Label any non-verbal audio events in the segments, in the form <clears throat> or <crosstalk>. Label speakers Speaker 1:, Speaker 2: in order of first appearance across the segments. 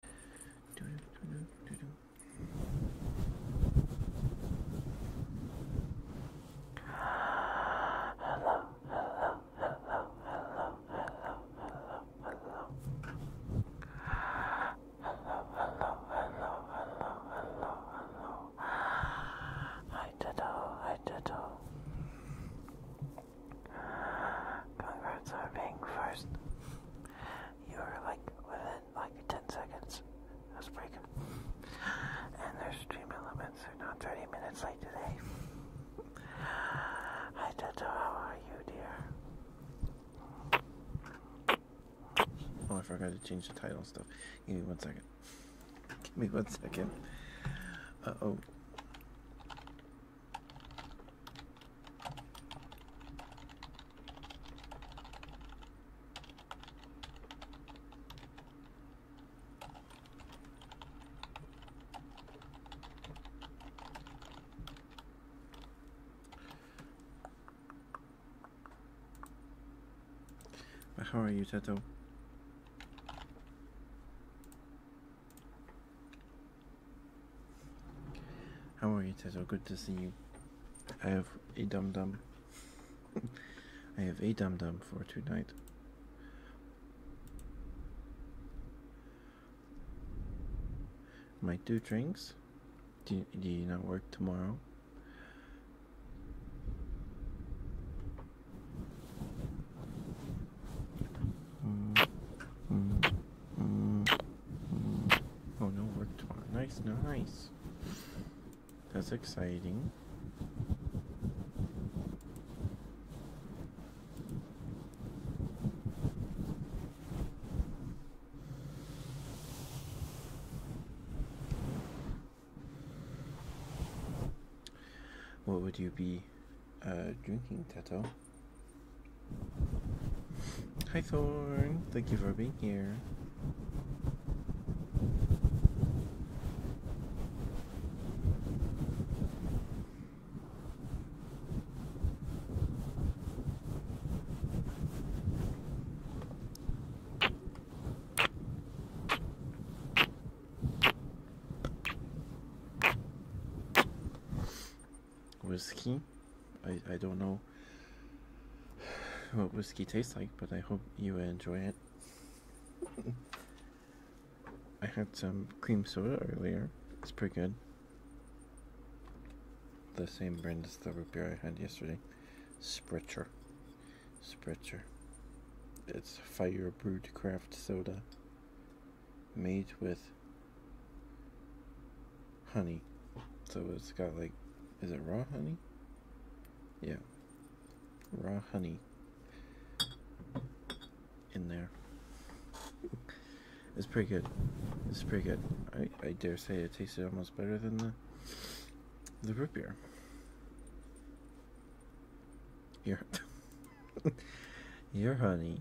Speaker 1: Hello, hello, hello, hello, hello, hello, hello. Hello, hello, hello, hello, hello, hello. Hi, Ditto, hi, Ditto. Congrats on being first you were like within like 10 seconds. That's pretty good. And there's stream elements are not 30 minutes late today. Hi, Toto, how are you,
Speaker 2: dear? Oh, I forgot to change the title stuff. Give me one second. Give me one second. Uh oh. How are you, Teto? How are you, Teto? Good to see you. I have a dum dum. I have a dum dum for tonight. Might do drinks. Do you, do you not work tomorrow? Mm, mm, mm. Oh no, work tomorrow. Nice, nice. That's exciting. What would you be uh, drinking, Teto? Hi Thorn, thank you for being here whiskey. I, I don't know what whiskey tastes like, but I hope you enjoy it. I had some cream soda earlier. It's pretty good. The same brand as the root beer I had yesterday. Spritzer. Spritzer. It's fire brewed craft soda made with honey. So it's got like, is it raw honey? Yeah. Raw honey in there. It's pretty good. It's pretty good. I, I dare say it tasted almost better than the the root beer. Your, <laughs> your honey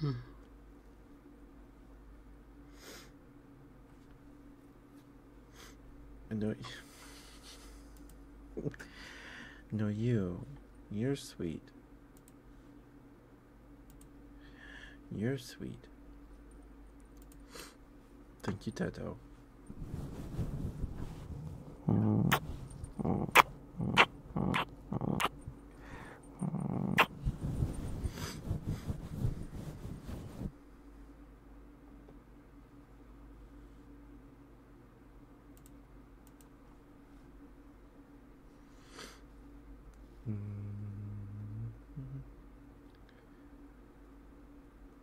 Speaker 2: Hmm. No, <laughs> no, you, you're sweet. You're sweet. Thank you, Toto.
Speaker 3: Mm-hmm. <laughs>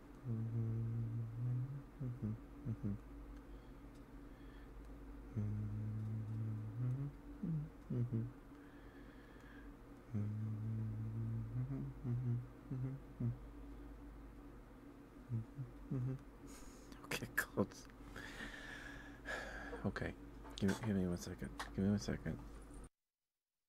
Speaker 2: okay, close. <sighs> Okay, give, give me one second. Give me one second.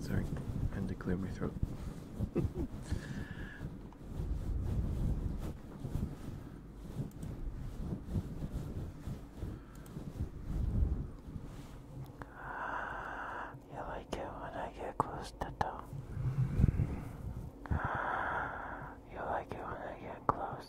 Speaker 2: Sorry, I had to clear my throat. <laughs> You
Speaker 1: like it when I get close to toe. You like it when I get close.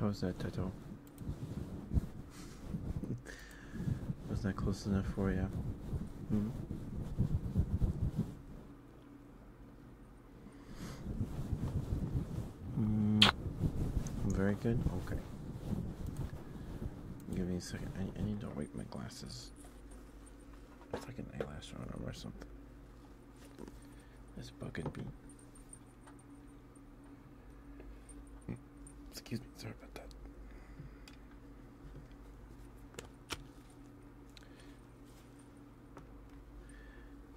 Speaker 2: How's that, Toto? Was that close enough for you? Mm, very good. Okay. Give me a second. I, need to wipe my glasses. It's like an eyelash on them or something. This bugging me. Excuse me. Sorry about that.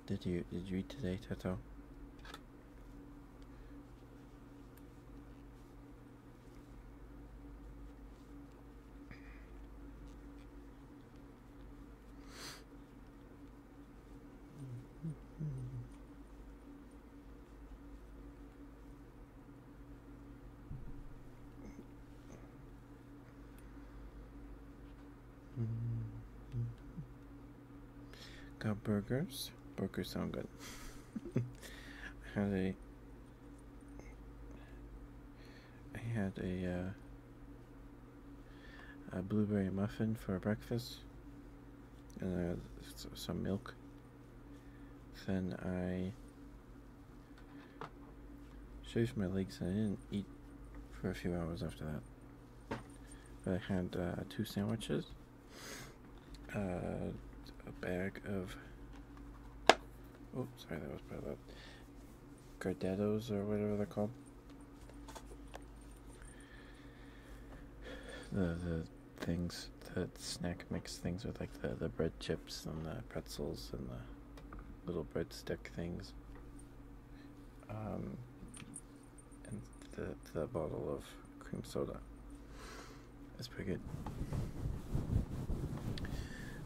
Speaker 2: Did you did you eat today, Toto? Mm-hmm. Got burgers. Burgers sound good. <laughs> I had a. I had a. Uh, a blueberry muffin for breakfast, and uh, some milk. Then I shaved my legs, and I didn't eat for a few hours after that. I had uh, two sandwiches, uh, a bag of. Oh, sorry, that was part of uh, Gardettos or whatever they're called. The the things that snack mix things with like the the bread chips and the pretzels and the little bread stick things. Um, and the, the bottle of cream soda. That's pretty good.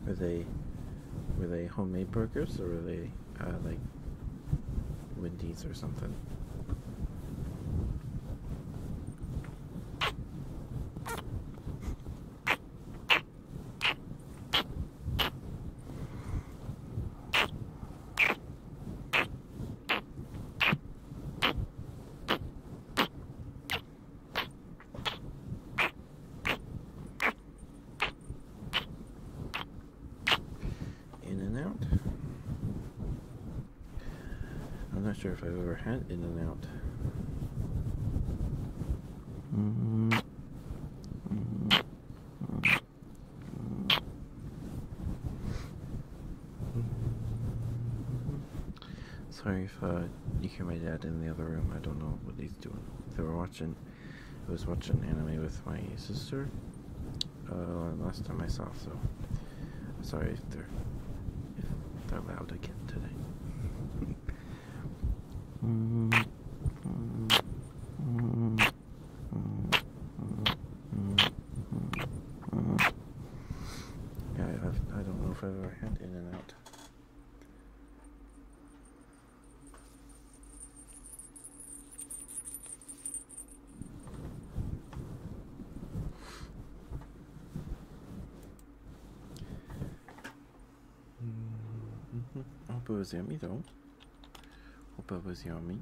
Speaker 2: Were they were they homemade burgers or were they uh, like Wendy's or something? In and out. I'm not sure if I've ever had in and out.
Speaker 3: Mm -hmm. Mm -hmm. Mm -hmm.
Speaker 2: Sorry for uh, you hear my dad in the other room. I don't know what he's doing. They were watching. I was watching anime with my sister uh, last time I saw. So sorry if they're they're loud again today. <laughs>
Speaker 3: Mm-hmm. Mm-hmm. Mm-hmm. Yeah,
Speaker 2: I've, I do not know if I've ever had In and Out. -hmm. Hope it was yummy though. Hope it was yummy.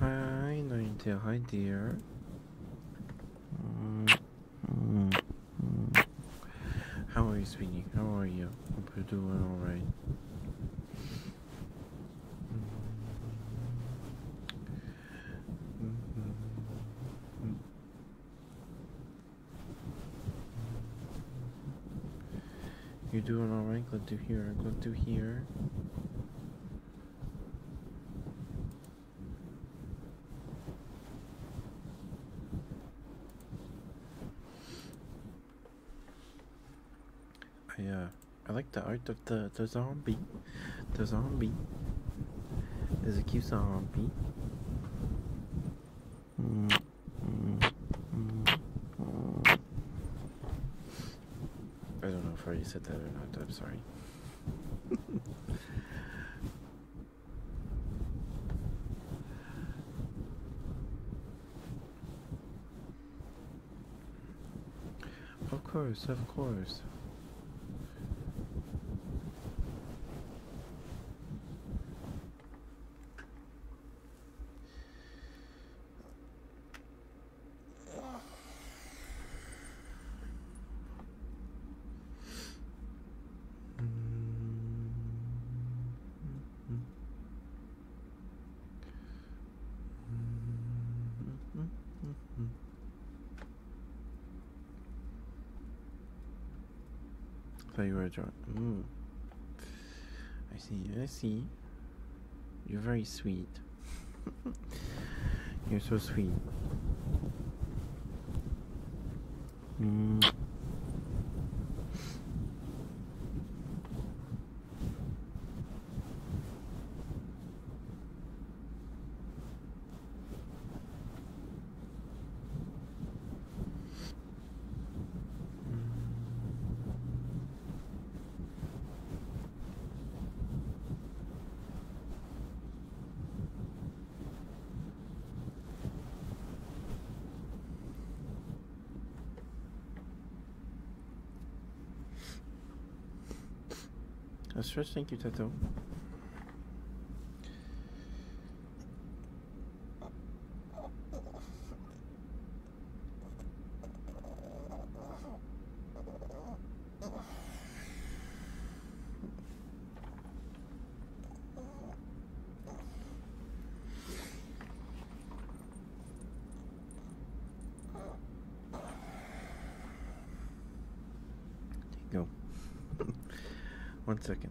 Speaker 2: Hi, Naintia. Hi, dear. How are you, sweetie? How are you? Hope you're doing all right. Mm -hmm. You're doing alright, glad to hear, glad to here. I uh I like the art of the the zombie. The zombie is a cute zombie. I don't know if I already said that or not. I'm sorry. <laughs> of course, of course. I thought you were a drunk restaurant. Mm. I see, I see. You're very sweet. <laughs> You're so sweet. Mm. A stretch, thank you, Tato. There you go. <laughs> One second.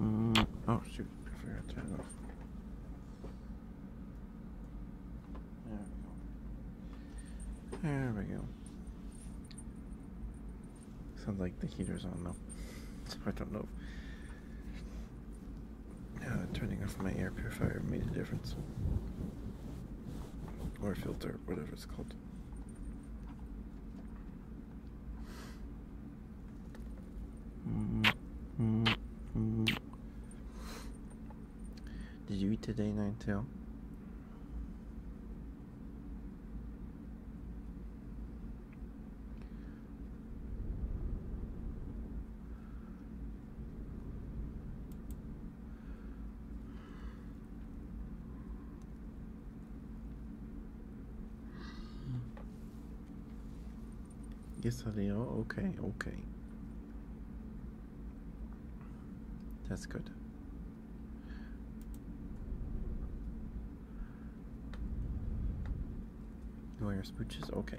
Speaker 2: Mm. Oh shoot, I forgot to turn off. There we go. There we go. Sounds like the heater's on though. <laughs> I don't know turning off my air purifier made a difference. Or filter, whatever it's called. Mm -hmm. Did you eat today, Nine Tail? Yes, they are. Oh, okay, okay. That's good. Wire spooches? Okay.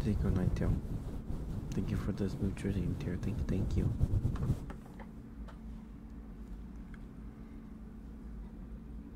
Speaker 2: Thank you, Nighttail. Thank you for this new jersey, Nighttail. Thank, thank you.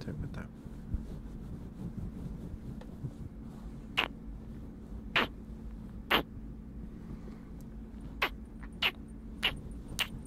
Speaker 3: Take my time.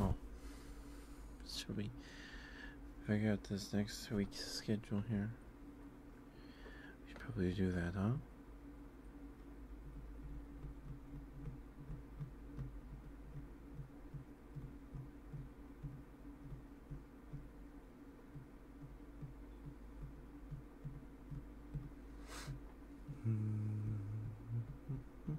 Speaker 2: Oh, should we figure out this next week's schedule here? We should probably do that, huh? <laughs>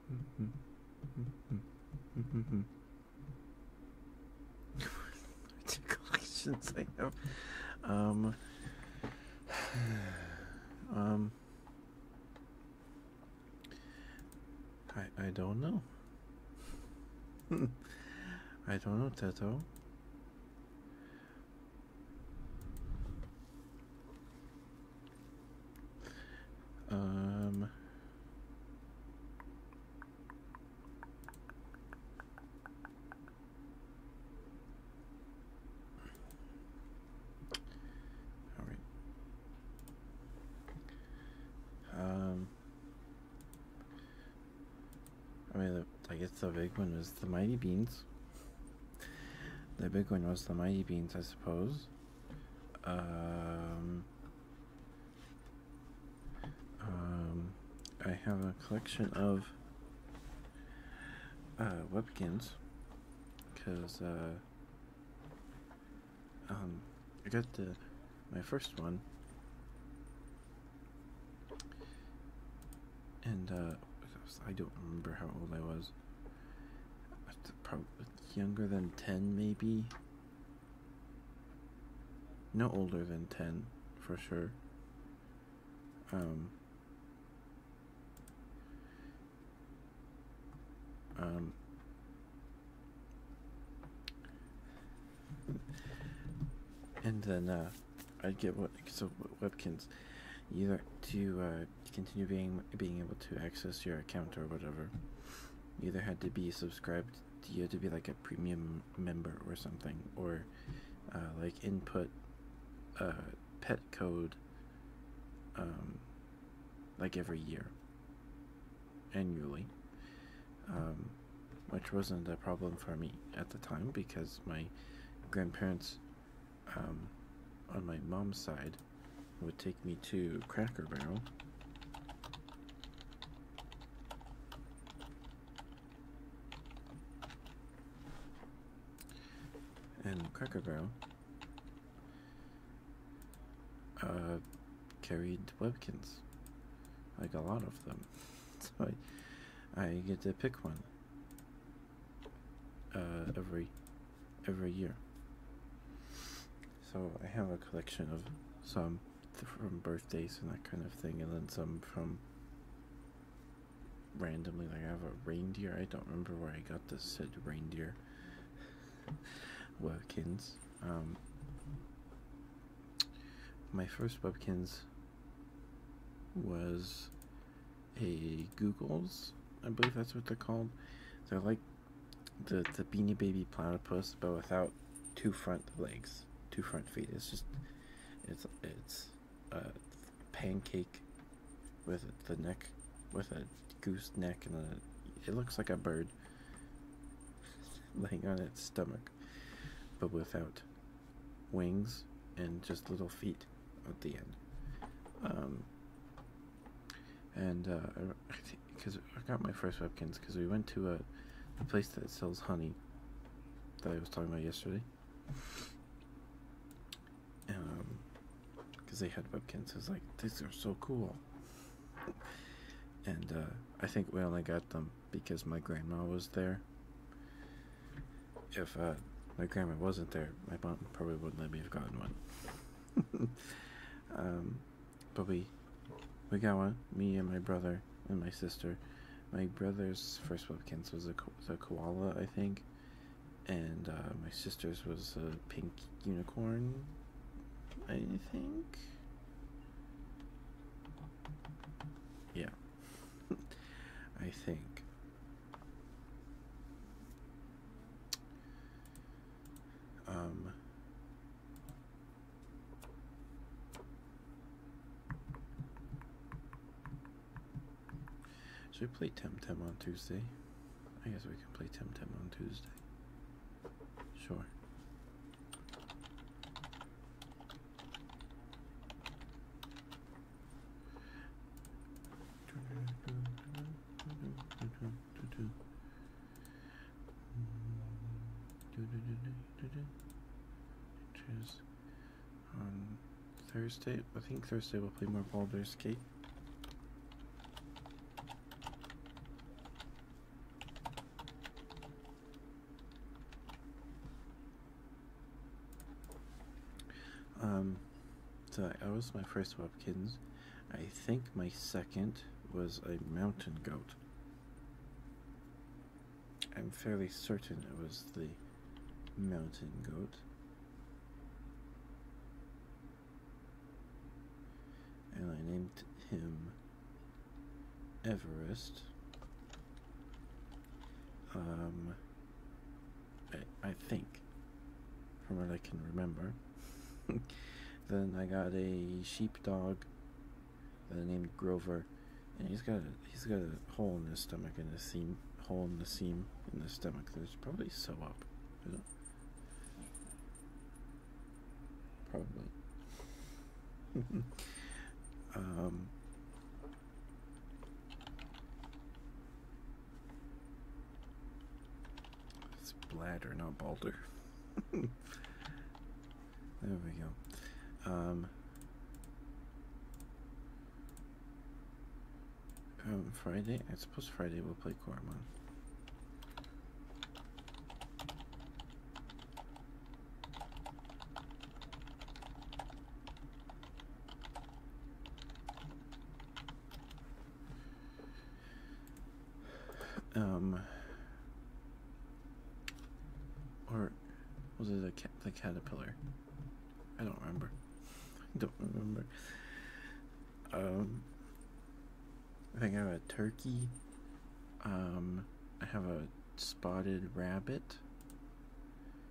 Speaker 2: Two collections I have. Um. <sighs> Um. I I don't know. <laughs> I don't know, Teto. Um, all right. Um, I mean, I guess the big one was the mighty beans. The big one was the mighty beans, I suppose. Um, um, I have a collection of uh, webkins because uh, um, I got the my first one and uh, I don't remember how old I was. Probably younger than 10 maybe no older than 10 for sure um, um and then uh I'd get what so Webkins either to uh to continue being being able to access your account or whatever. You either had to be subscribed to you had to be like a premium member or something, or uh, like input uh, pet code um, like every year annually, um, which wasn't a problem for me at the time because my grandparents um, on my mom's side would take me to Cracker Barrel. And Cracker Barrel uh, carried Webkins, like a lot of them. <laughs> so I, I get to pick one uh, every every year. So I have a collection of some from birthdays and that kind of thing, and then some from randomly. Like I have a reindeer. I don't remember where I got this said reindeer. <laughs> Webkins. Um, my first Webkins was a Google's. I believe that's what they're called. They're like the the beanie baby platypus but without two front legs two front feet it's just it's it's a pancake with the neck with a goose neck and a, it looks like a bird <laughs> laying on its stomach but without wings and just little feet at the end um, and uh, <laughs> because I got my first Webkins because we went to a, a place that sells honey that I was talking about yesterday. Um, because they had Webkins, I was like, these are so cool. And uh, I think we only got them because my grandma was there. If uh, my grandma wasn't there, my mom probably wouldn't let me have gotten one. <laughs> um, but we we got one. Me and my brother and my sister. My brother's first webkins was a, koala, I think, and uh, my sister's was a pink unicorn. I think. Yeah. <laughs> I think. Um, should we play Temtem on Tuesday? I guess we can play Temtem on Tuesday. Sure on Thursday. I think Thursday we'll play more Baldur's Gate. Um, so that was my first Webkins. I think my second was a mountain goat. I'm fairly certain it was the mountain goat. And I named him Everest. Um, I, I think, from what I can remember. <laughs> then I got a sheep dog. I uh, named Grover, and he's got a, he's got a hole in his stomach and a seam hole in the seam in the stomach. There's probably sew up. Probably. <laughs> um, it's bladder, not Balder. <laughs> there we go. Um, Friday. I suppose Friday we'll play Corman. Um, or was it the, the caterpillar? I don't remember. I <laughs> don't remember. Um, I think I have a turkey. Um, I have a spotted rabbit.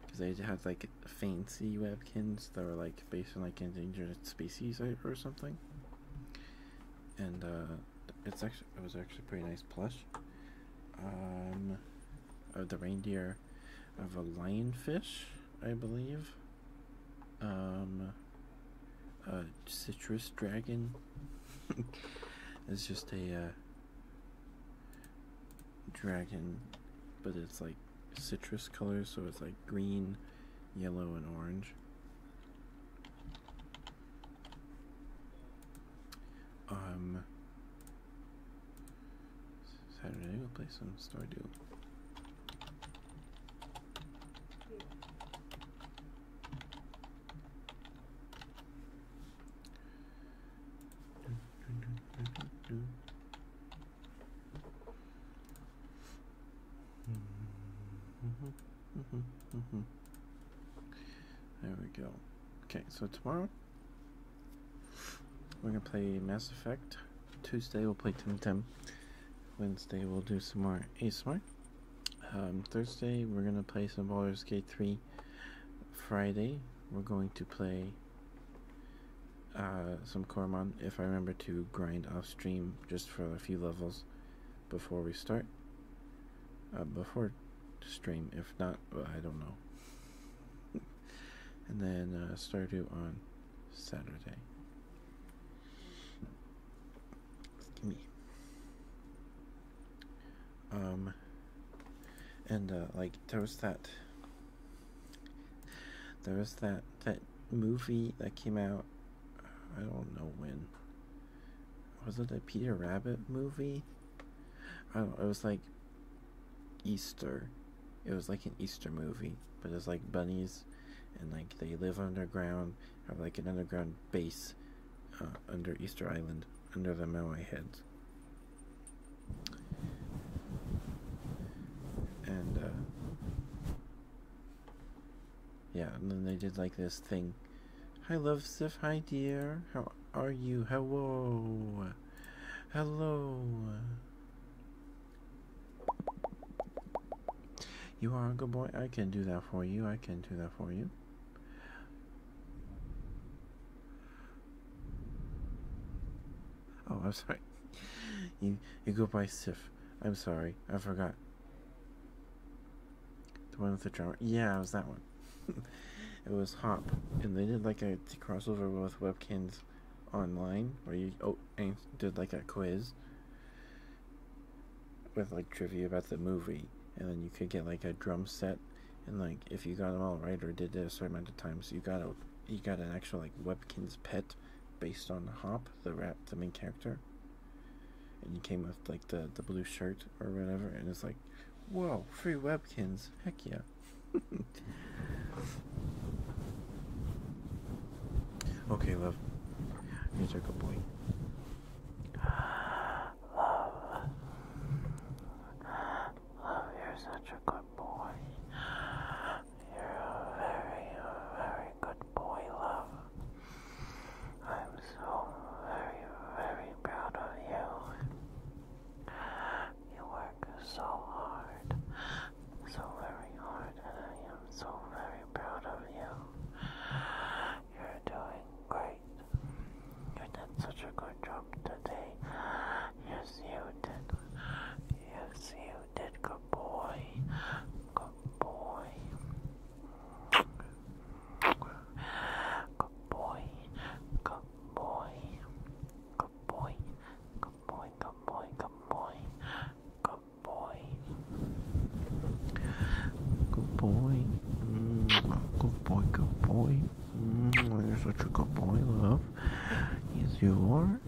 Speaker 2: Because they had like fancy webkins that were like based on like endangered species or something and uh, it's actually it was actually pretty nice plush. Um, of uh, the reindeer, of a lionfish, I believe. Um, a citrus dragon. <laughs> it's just a uh, dragon, but it's like citrus colors, so it's like green, yellow, and orange. Um, Saturday, we'll play some Story Duo. Mm-hmm. There we go. Okay, so tomorrow we're gonna play Mass Effect. Tuesday we'll play Tim Tim. Wednesday we'll do some more ASMR. Um, Thursday we're gonna play some Baldur's Gate 3. Friday we're going to play uh, some Cormon if I remember to grind off stream just for a few levels before we start? Uh, before stream, if not, I don't know. <laughs> and then uh, start Stardew on Saturday. Um, and uh, like there was that, there was that that movie that came out I don't know when. Was it the Peter Rabbit movie? I don't. It was like Easter. It was like an Easter movie, but it's like bunnies, and like they live underground, have like an underground base uh, under Easter Island, under the Maui heads. And uh, yeah, and then they did like this thing. Hi, love Sif. Hi, dear. How are you? Hello. Hello. You are a good boy. I can do that for you. I can do that for you. Oh, I'm sorry. <laughs> You you go by Sif. I'm sorry. I forgot. The one with the drummer. Yeah, it was that one. <laughs> it was Hop, and they did like a crossover with Webkins Online, where you oh did like a quiz with like trivia about the movie, and then you could get like a drum set, and like if you got them all right or did it a certain amount of times, you got a you got an actual like Webkins pet based on Hop the rap, the main character, and he came with like the the blue shirt or whatever, and it's like, whoa, free webkins, heck yeah. <laughs> okay, love, you're such a good boy. Love, love, you're such a good boy.
Speaker 1: You're a very, very good boy love. I'm so very, very proud of you. You work so hard, so very hard, and I am so very proud of you. You're doing great. You did such a good job today. Yes, you did. Yes, you did. Good boy. Good boy. Good
Speaker 2: boy. Good boy. Good boy. Good boy. Good boy. Good boy. Good boy. Good boy. Mm, good boy. Good boy. Mm, you're such a good boy, love. Yes, you are.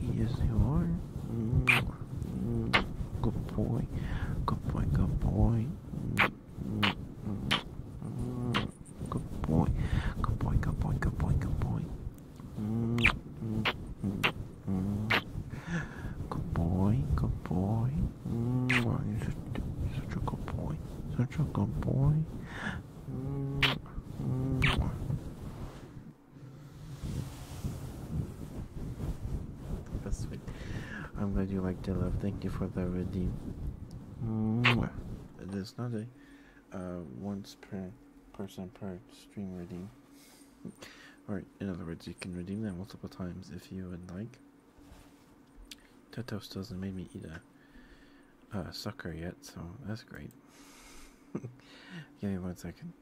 Speaker 2: Yes, you are. Mm. Mm, good boy. Good boy, good boy. Mm, mm, mm, good boy. Good boy, good boy, good boy, good boy. Mm, mm, mm, mm. Good boy, good boy. Mm, you're such, you're such a good boy. Such a good boy. Mm,
Speaker 3: mm.
Speaker 2: That's sweet. I'm glad you liked the love. Thank you for the redeem. Mwah. There's not a uh, once per person per stream redeem. Alright, in other words, you can redeem that multiple times if you would like. Totos doesn't make me eat a sucker yet, so that's great. <laughs> Give me one second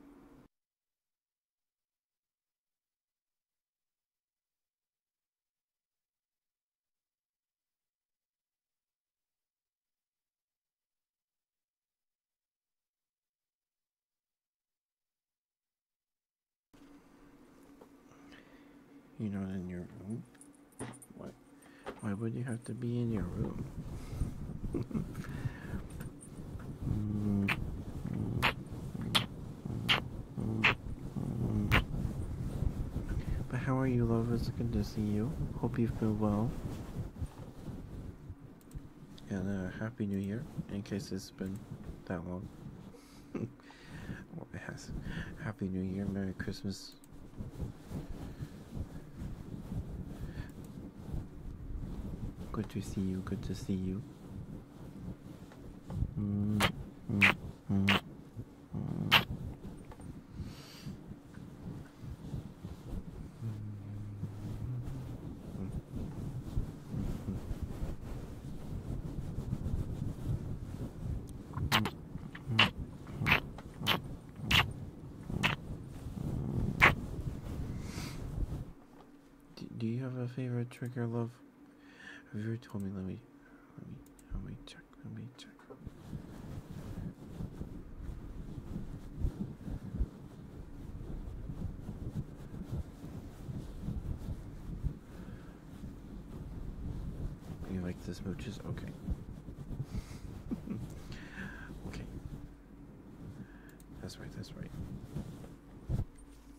Speaker 2: you know, not in your room? What? Why would you have to be in your room? <laughs> But how are you, lovers? Good to see you. Hope you have been well. And uh, Happy New Year, in case it's been that long. <laughs> it has. Happy New Year, Merry Christmas. Good to see you, good to see you. Do you have a favorite trick or love have you ever told me? Let me, let me, let me check. Let me check. You like the smooches? Okay. <laughs> okay. That's right. That's right.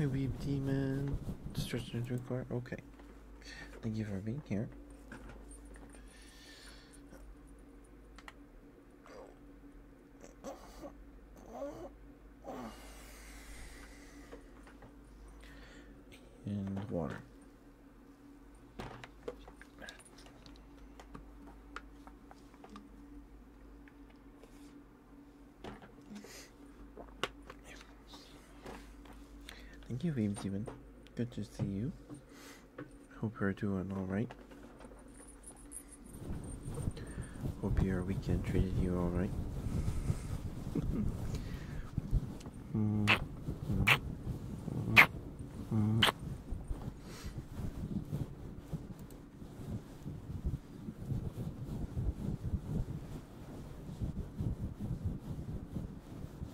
Speaker 2: Hi, Weeb Demon. Stretching into a car. Okay. Thank you for being here and water. Thank you, Weaves, even. Good to see you. Hope you're doing alright. Hope your weekend treated you alright.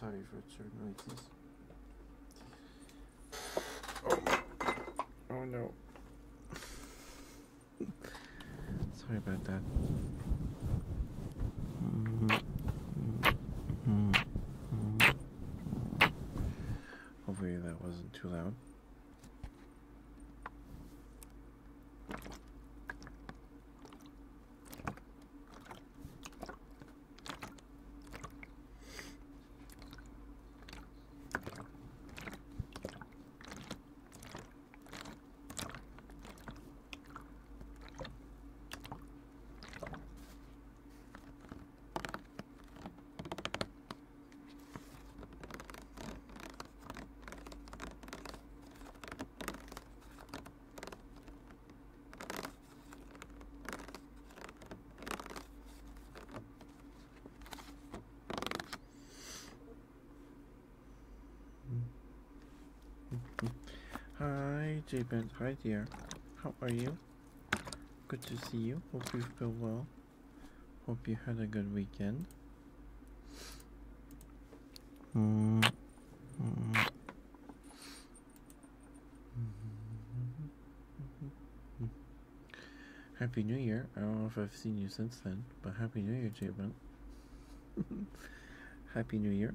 Speaker 2: Sorry for the noises. Oh, oh no. Sorry about that. Mm-hmm. Mm-hmm. Mm-hmm. Hopefully that wasn't too loud. Hi, J-Band. Hi, dear. How are you? Good to see you. Hope you feel well. Hope you had a good weekend. Mm. Mm. Happy New Year. I don't know if I've seen you since then, but Happy New Year, Jabon. <laughs> Happy New Year.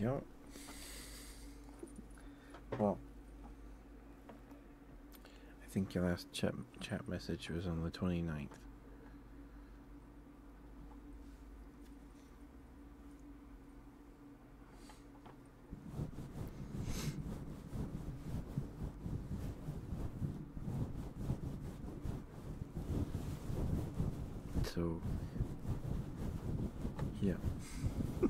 Speaker 2: Yeah. Well, I think your last chat, chat message was on the 29th. So, yeah. <laughs>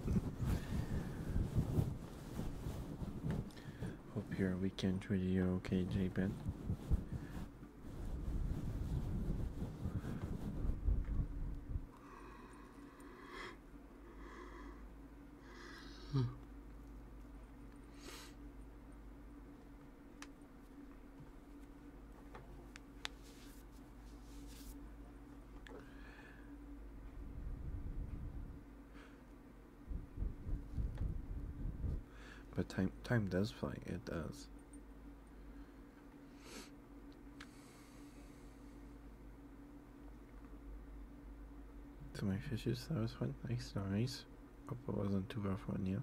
Speaker 2: Hope your weekend was you okay, J Ben. Hmm. But time time does fly, it does. So my fishes, that was fun. Nice, nice. Hope it wasn't too rough on you.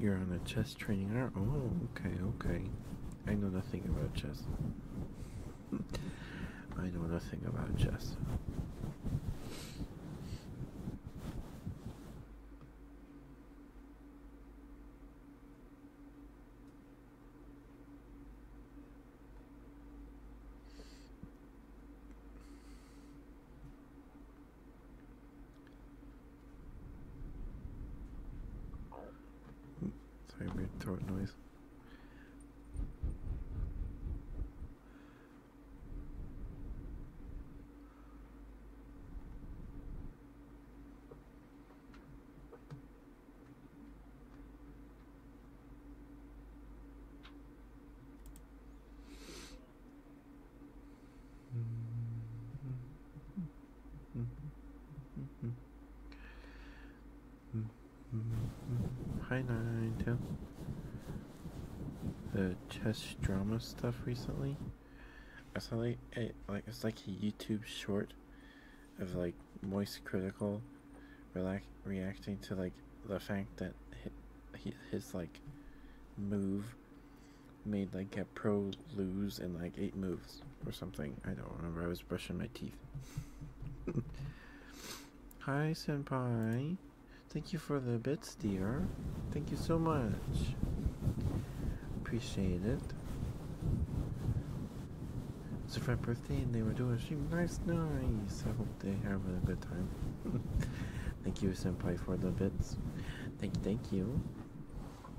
Speaker 2: You're on a chess training Oh, okay, okay. I know nothing about chess. <laughs> I know nothing about chess. Sorry, weird throat noise. Hi Nintendo. The chess drama stuff recently. I saw like it like it's like a YouTube short of like Moist Critical relax, reacting to like the fact that his, his like move made like a pro lose in like eight moves or something. I don't remember. I was brushing my teeth. <laughs> Hi, senpai. Thank you for the bits, dear. Thank you so much. Appreciate it. It's for friend birthday and they were doing a Nice, nice. I hope they having a good time. <laughs> thank you, senpai, for the bits. Thank thank you.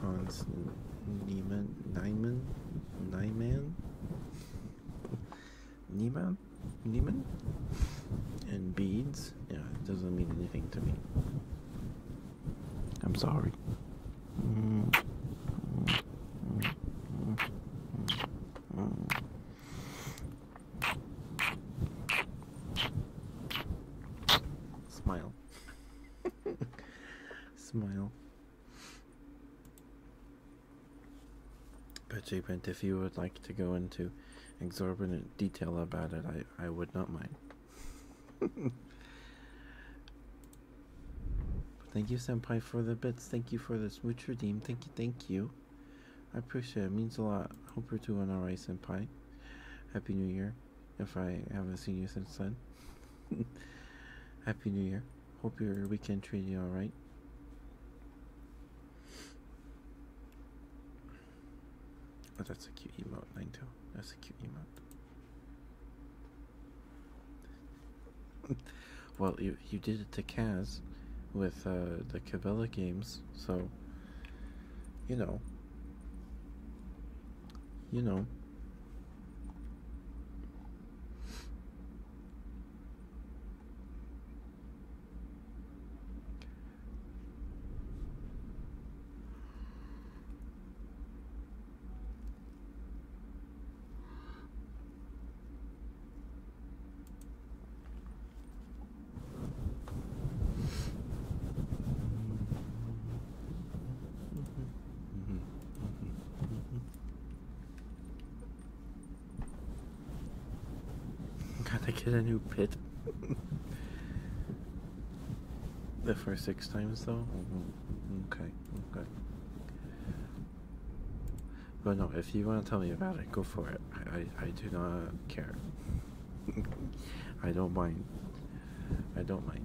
Speaker 2: Hans Niemann, Niemann, Niemann, Niemann, Niemann, and beads. Yeah, it doesn't mean anything to me. I'm sorry. Smile. <laughs> Smile. But if you would like to go into exorbitant detail about it, I, I would not mind. <laughs> thank you, Senpai, for the bits. Thank you for the smooch redeem. Thank you, thank you. I appreciate it. means a lot. Hope you're doing alright, Senpai. Happy New Year. If I haven't seen you since then. <laughs> Happy New Year. Hope your weekend treated you alright. Oh, that's a cute emote, Nine Tail. That's a cute emote well, you you did it to Kaz with uh, the Cabela games, so you know, you know. Gotta get a new pit. The first six times, though. Mm-hmm. Okay, okay. But no, if you want to tell me about it, go for it. I, I, I do not care. <laughs> I don't mind. I don't mind.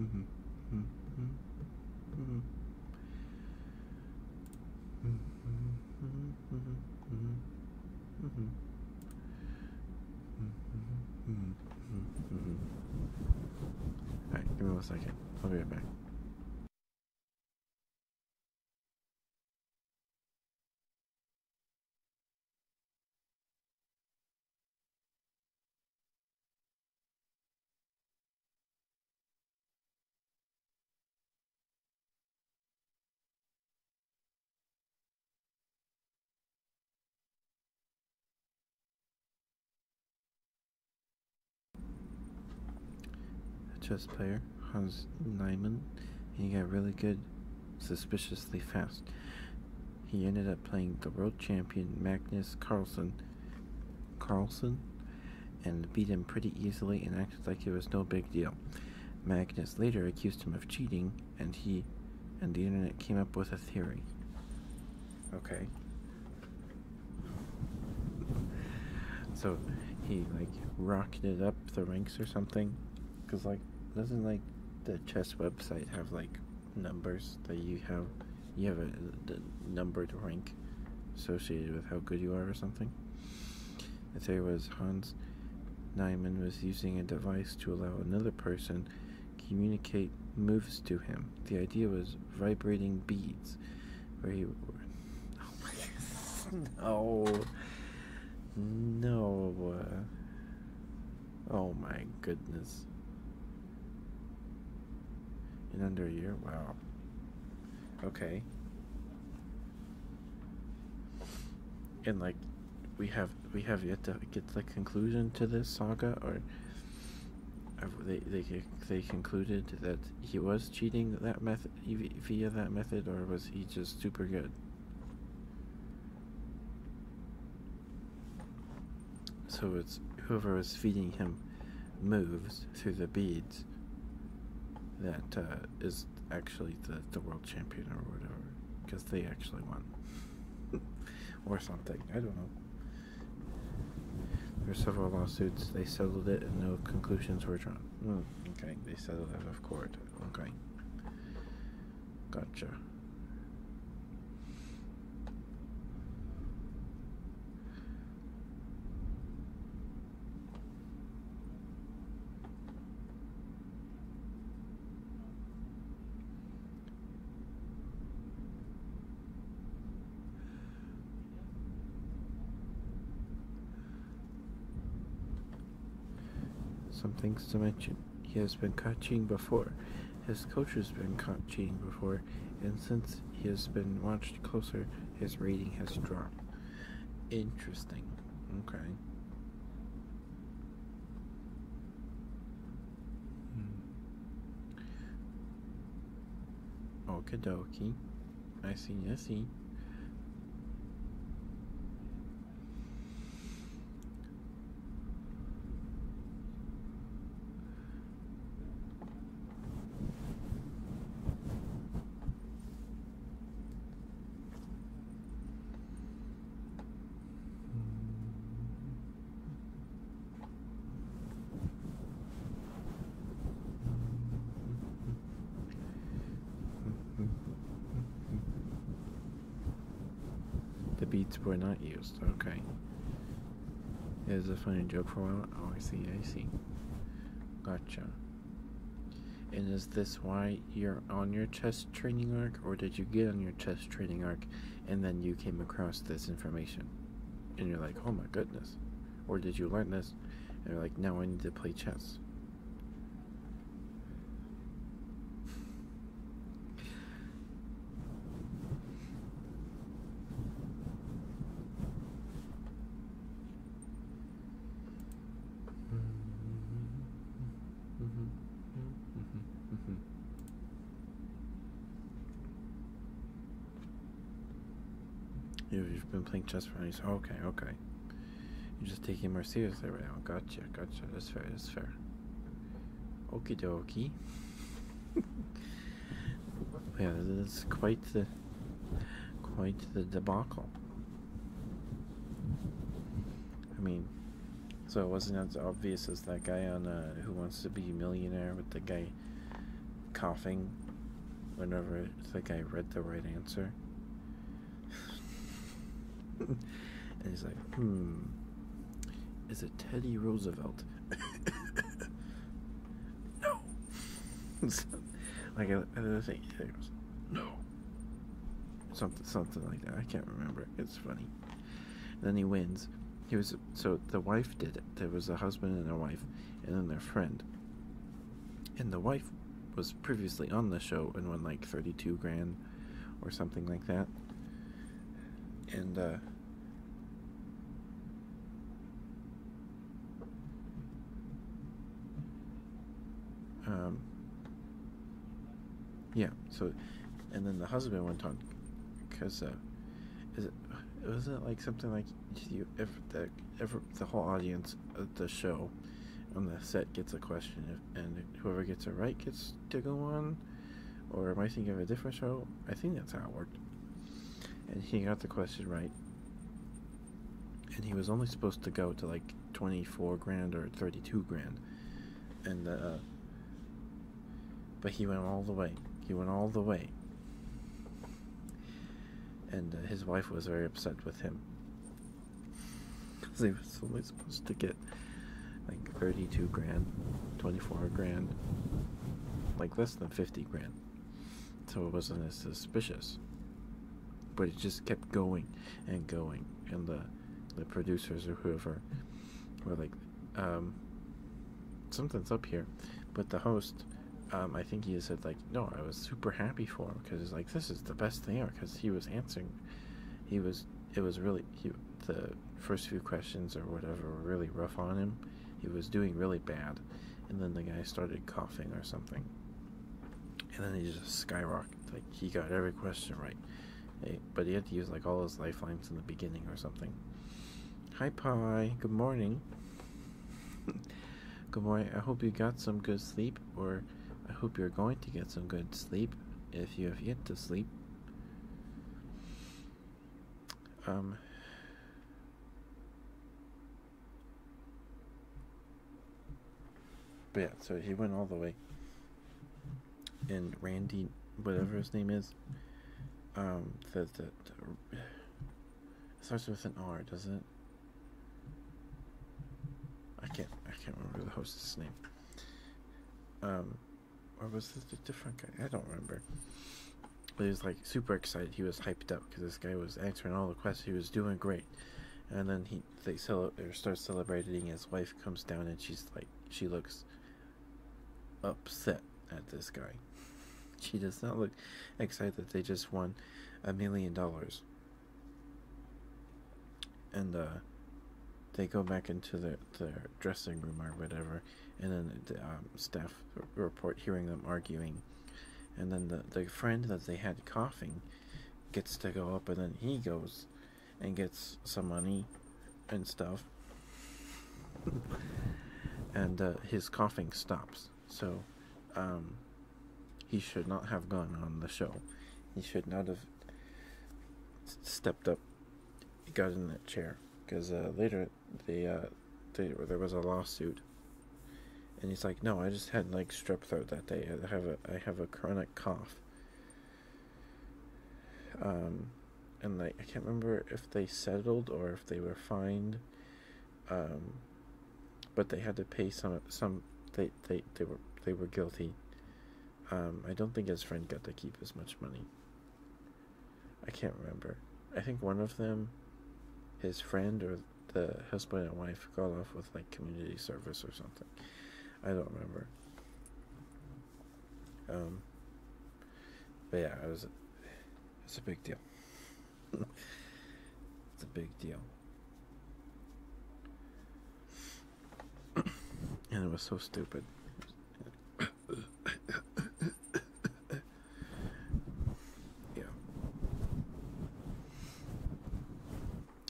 Speaker 3: Mm-hmm. Mm-hmm. Mm-hmm.
Speaker 2: Alright, give me one second. I'll be right back. A chess player, Hans Niemann, and he got really good, suspiciously fast he ended up playing the world champion Magnus Carlsen. Carlsen? And beat him pretty easily and acted like it was no big deal. Magnus later accused him of cheating, and he and the internet came up with a theory. Okay. <laughs> So he like rocketed up the ranks or something, because like doesn't like the chess website have like numbers that you have. You have a, numbered rank associated with how good you are or something. The there was Hans Nyman was using a device to allow another person communicate moves to him. The idea was vibrating beads, where he. Oh my god, No. No. Uh, Oh my goodness. In under a year? Wow. Okay. And like we have we have yet to get the conclusion to this saga or they they they concluded that he was cheating that method via that method or was he just super good? So it's whoever is feeding him moves through the beads That uh, is actually the, the world champion or whatever because they actually won <laughs> or something I don't know there were several lawsuits they settled it and no conclusions were drawn hmm, okay they settled it out of court okay gotcha some things to mention. He has been catching before. His coach has been caught cheating before, and since he has been watched closer, his rating has dropped. Interesting. Okay. Hmm. Okie I see, I see. The beats were not used, okay. It was a funny joke for a while. Oh, I see, I see. Gotcha. And is this why you're on your chess training arc, or did you get on your chess training arc and then you came across this information? And you're like, oh my goodness. Or did you learn this and you're like, now I need to play chess? You've been playing chess for years. Okay, okay. You're just taking more seriously right now. Gotcha, gotcha. That's fair, that's fair. Okie dokie. <laughs> yeah, that's quite the quite the debacle. I mean, so it wasn't as obvious as that guy on uh, Who Wants to Be a Millionaire with the guy coughing whenever the guy read the right answer. <laughs> and he's like, hmm. Is it Teddy Roosevelt? <laughs> no. <laughs> like another thing. It was, no. Something, something like that. I can't remember. It's funny. then he wins. He was so the wife did it. There was a husband and a wife, and then their friend. And the wife was previously on the show and won like thirty-two grand, or something like that. And uh, um, yeah, so, and then the husband went on, because, uh, is it, was it like something like if the, if the whole audience of the show on the set gets a question, if, and whoever gets it right gets to go on? Or am I thinking of a different show? I think that's how it works. And he got the question right. And he was only supposed to go to like 24 grand or 32 grand. And, uh, but he went all the way. He went all the way. And uh, his wife was very upset with him. Because <laughs> he was only supposed to get like 32 grand, 24 grand. Like, this than 50 grand. So it wasn't as suspicious. But it just kept going and going. And the, the producers or whoever were like, um, something's up here. But the host, um, I think he said like, no, I was super happy for him because it's like this is the best thing ever because he was answering, he was it was really the first few questions or whatever were really rough on him, he was doing really bad, and then the guy started coughing or something, and then he just skyrocketed. Like he got every question right, but he had to use like all his lifelines in the beginning or something. Hi, Pie. Good morning. <laughs> good morning. I hope you got some good sleep, or I hope you're going to get some good sleep if you have yet to sleep. Um, but yeah, so he went all the way. And Randy, whatever his name is, um, the, the, starts with an R, doesn't it? I can't I can't remember the host's name. Um, or was it a different guy? I don't remember. But he was like super excited. He was hyped up because this guy was answering all the questions. He was doing great, and then he they cel- or start celebrating. His wife comes down and she's like, she looks upset at this guy. <laughs> She does not look excited that they just won a million dollars. And uh, they go back into their, their dressing room or whatever, and then the um, staff report hearing them arguing, and then the, the friend that they had coughing gets to go up, and then he goes and gets some money and stuff, <laughs> and uh, his coughing stops. So um, he should not have gone on the show. He should not have stepped up, He got in that chair, because uh, later the uh, they, there was a lawsuit, and he's like, "No, I just had like strep throat that day. I have a I have a chronic cough." Um, and like I can't remember if they settled or if they were fined, um, but they had to pay some some they they they were they were guilty. Um, I don't think his friend got to keep as much money. I can't remember. I think one of them, his friend or the husband and wife, got off with like community service or something. I don't remember. Um, but yeah, it was it's a big deal. <laughs> it's a big deal. <coughs> and it was so stupid yeah.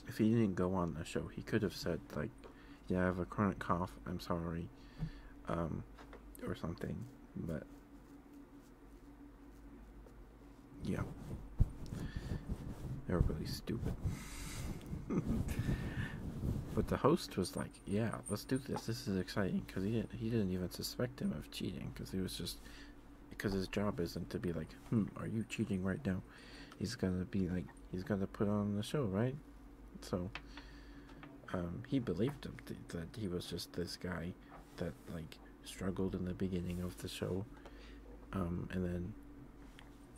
Speaker 2: If he didn't go on the show, he could have said like, "Yeah, I have a chronic cough. I'm sorry," um, or something. But yeah, they were really stupid. <laughs> but the host was like, yeah, let's do this. This is exciting because he didn't he didn't even suspect him of cheating because he was just because his job isn't to be like, hmm, are you cheating right now? He's gonna be like, he's gonna put on the show, right? So, um, he believed him that he was just this guy that like struggled in the beginning of the show, um, and then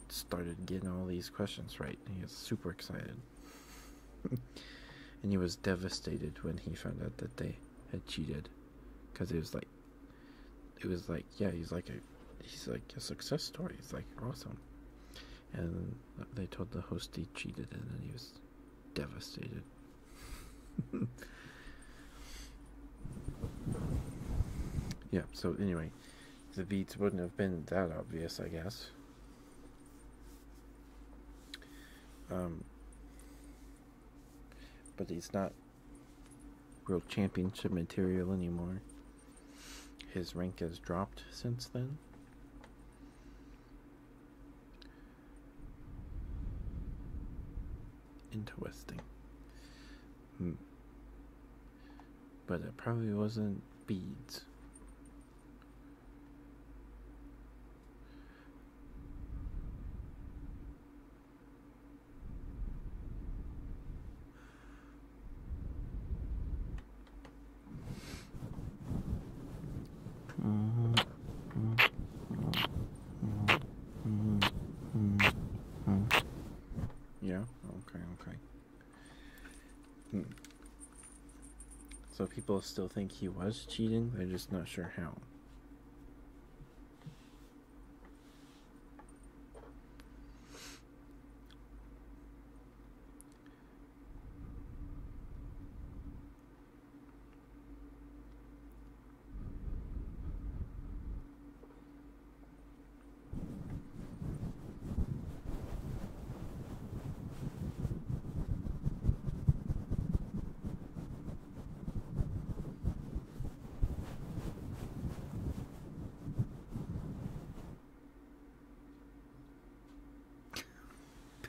Speaker 2: started getting all these questions right. He was super excited. <laughs> and he was devastated when he found out that they had cheated, because it was like, it was like, yeah, he's like a, he's like a success story. He's like awesome. And they told the host he cheated, and then he was devastated. <laughs> yeah. So anyway, the beats wouldn't have been that obvious, I guess. Um, but he's not real championship material anymore. His rank has dropped since then. Interesting. Hmm. But it probably wasn't beads. Yeah, okay, okay. Hmm. So people still think he was cheating, they're just not sure how.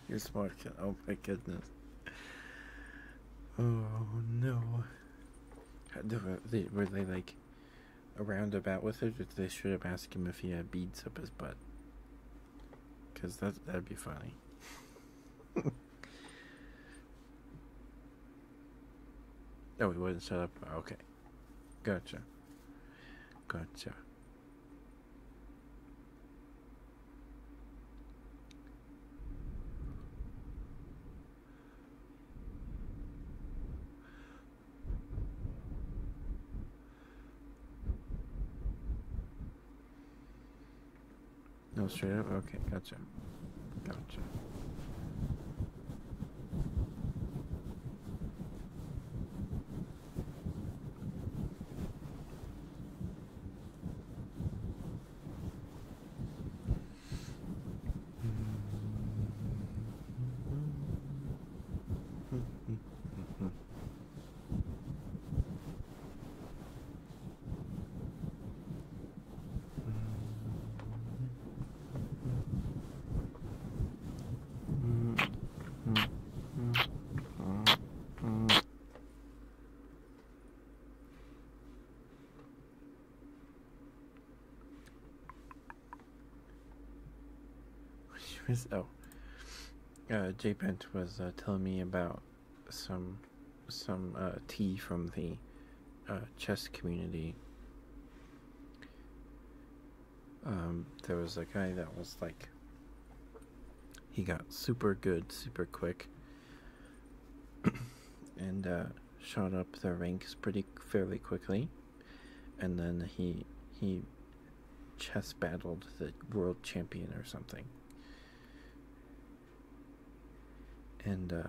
Speaker 2: You're Oh my goodness. Oh no. were they like around about with it? they should have asked him if he had beads up his butt. Cause that that'd be funny funny. <laughs> no, oh, he wasn't set up. Oh, okay. Gotcha. Gotcha. No, straight up? Okay, gotcha. Gotcha.
Speaker 3: <laughs>
Speaker 2: She was <laughs> oh, uh, J was uh, telling me about some some uh, tea from the uh, chess community. Um, there was a guy that was like, he got super good, super quick, <coughs> and uh, shot up the ranks pretty fairly quickly, and then he he chess battled the world champion or something and uh,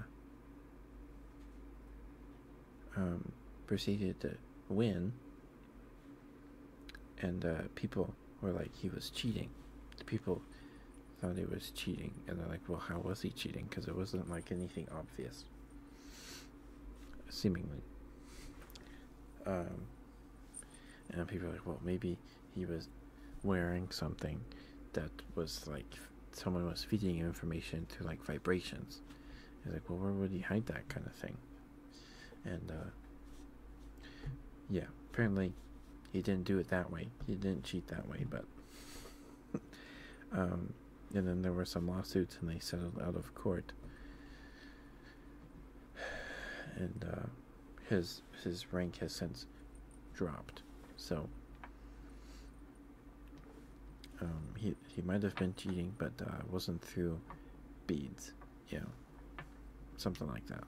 Speaker 2: um, proceeded to win. And uh, people were like, he was cheating. The people thought he was cheating, and they're like, well, how was he cheating? Because it wasn't like anything obvious, seemingly. Um, and people are like, well, maybe he was wearing something that was like someone was feeding information to like vibrations. He's like, well, where would he hide that kind of thing? And uh, yeah, apparently he didn't do it that way. He didn't cheat that way, but. <laughs> um, and then there were some lawsuits, and they settled out of court. <sighs> And uh, his his rank has since dropped. So um, he he might have been cheating, but uh, wasn't through beads. Yeah, something like that.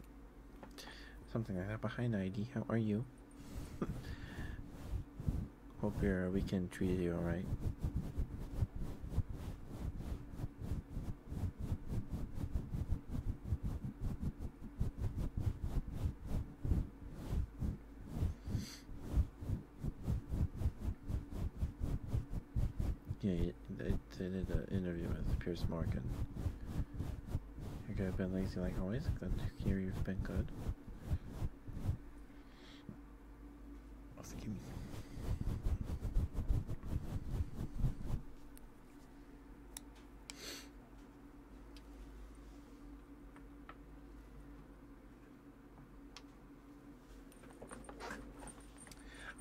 Speaker 2: Something like that. Behind ID, how are you? <laughs> Hope your weekend treated you all right. Yeah, they, they did an interview with Pierce Morgan. You could have been lazy like always, good. Here you've been good. Excuse me.